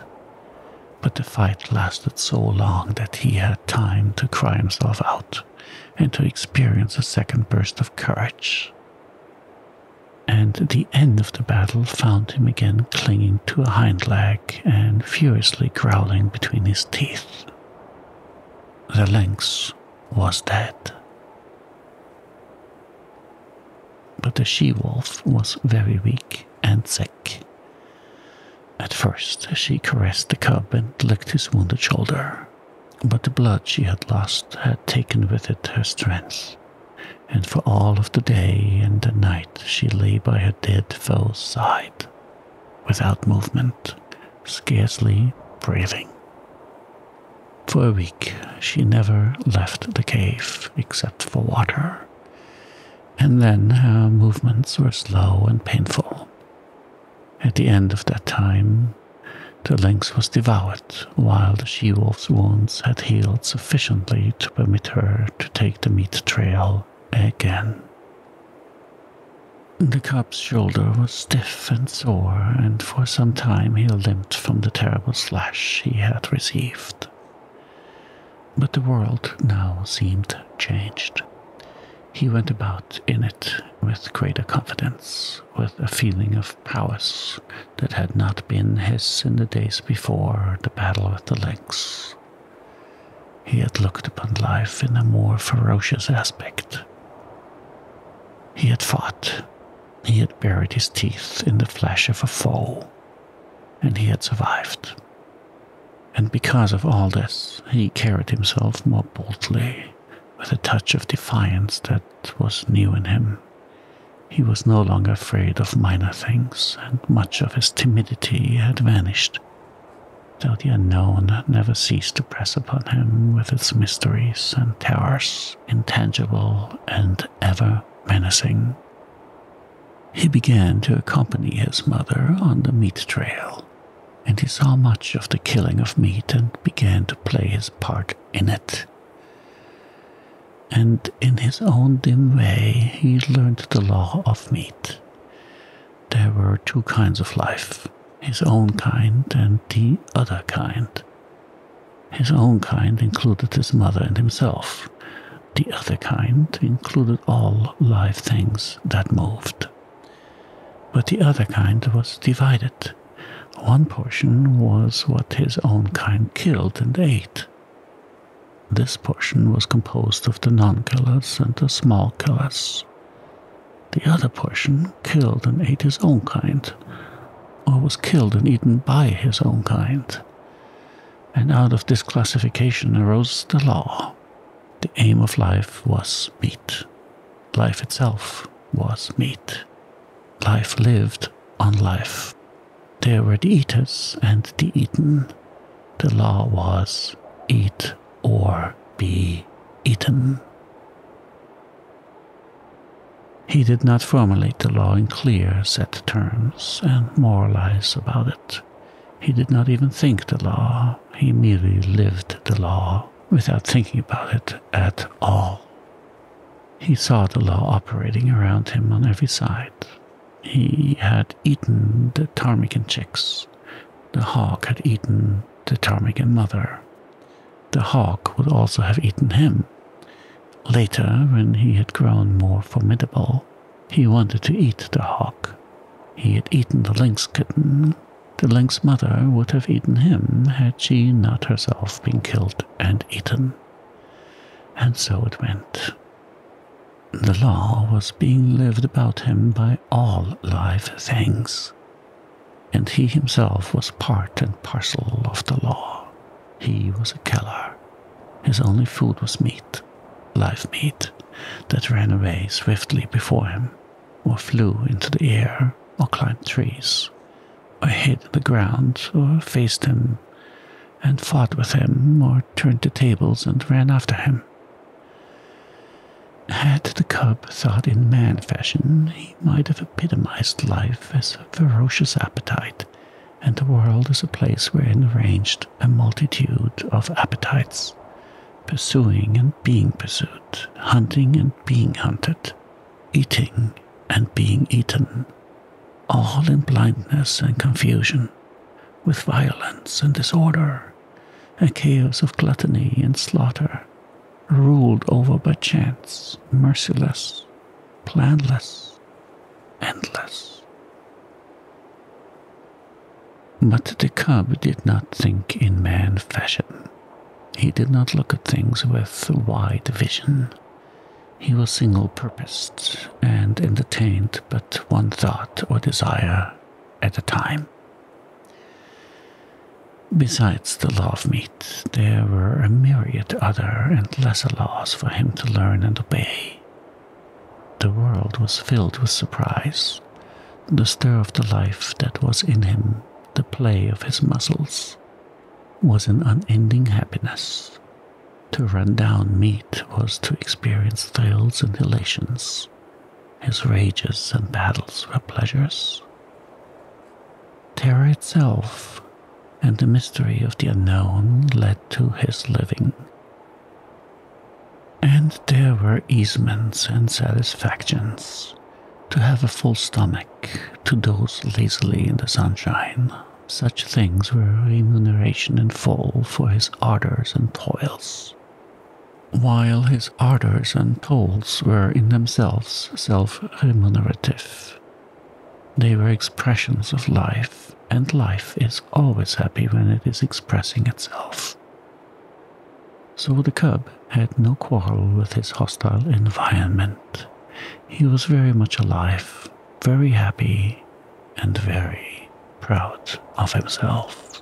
[SPEAKER 1] But the fight lasted so long that he had time to cry himself out and to experience a second burst of courage. And the end of the battle found him again clinging to a hind leg and furiously growling between his teeth. The lynx was dead. But the she wolf was very weak and sick. At first, she caressed the cub and licked his wounded shoulder, but the blood she had lost had taken with it her strength, and for all of the day and the night she lay by her dead fell side, without movement, scarcely breathing. For a week, she never left the cave except for water, and then her movements were slow and painful. At the end of that time, the lynx was devoured while the she wolf's wounds had healed sufficiently to permit her to take the meat trail again. The cub's shoulder was stiff and sore, and for some time he limped from the terrible slash he had received. But the world now seemed changed. He went about in it with greater confidence, with a feeling of prowess that had not been his in the days before the battle with the lynx. He had looked upon life in a more ferocious aspect. He had fought. He had buried his teeth in the flesh of a foe. And he had survived. And because of all this, he carried himself more boldly, with a touch of defiance that was new in him. He was no longer afraid of minor things, and much of his timidity had vanished, though the unknown had never ceased to press upon him with its mysteries and terrors, intangible and ever menacing. He began to accompany his mother on the meat trail, and he saw much of the killing of meat and began to play his part in it and in his own dim way he learned the law of meat, there were two kinds of life his own kind and the other kind. His own kind included his mother and himself. The other kind included all live things that moved. But the other kind was divided. One portion was what his own kind killed and ate. This portion was composed of the non killers and the small killers. The other portion killed and ate his own kind, or was killed and eaten by his own kind. And out of this classification arose the law. The aim of life was meat. Life itself was meat. Life lived on life. There were the eaters and the eaten the law was eat or be eaten. He did not formulate the law in clear, set terms and moralize about it. He did not even think the law. He merely lived the law without thinking about it at all. He saw the law operating around him on every side, he had eaten the ptarmigan chicks. The hawk had eaten the ptarmigan mother. The hawk would also have eaten him. Later, when he had grown more formidable, he wanted to eat the hawk. He had eaten the lynx kitten. The lynx mother would have eaten him had she not herself been killed and eaten. And so it went. The law was being lived about him by all live things, and he himself was part and parcel of the law. He was a killer. His only food was meat, live meat, that ran away swiftly before him, or flew into the air, or climbed trees, or hid the ground, or faced him, and fought with him, or turned the tables and ran after him. Had the cub thought in man fashion, he might have epitomized life as a ferocious appetite, and the world as a place wherein ranged a multitude of appetites, pursuing and being pursued, hunting and being hunted, eating and being eaten, all in blindness and confusion, with violence and disorder a chaos of gluttony and slaughter, ruled over by chance, merciless, planless, endless. But the cub did not think in man fashion. He did not look at things with wide vision. He was single purposed and entertained but one thought or desire at a time. Besides the law of meat, there were a myriad other and lesser laws for him to learn and obey. The world was filled with surprise, the stir of the life that was in him, the play of his muscles, was an unending happiness. To run down meat was to experience thrills and elations, his rages and battles were pleasures. Terror itself and the mystery of the unknown led to his living. And there were easements and satisfactions to have a full stomach, to doze lazily in the sunshine. Such things were remuneration in full for his ardors and toils. While his ardors and toils were in themselves self remunerative, they were expressions of life, and life is always happy when it is expressing itself. So the cub had no quarrel with his hostile environment. He was very much alive, very happy, and very proud of himself.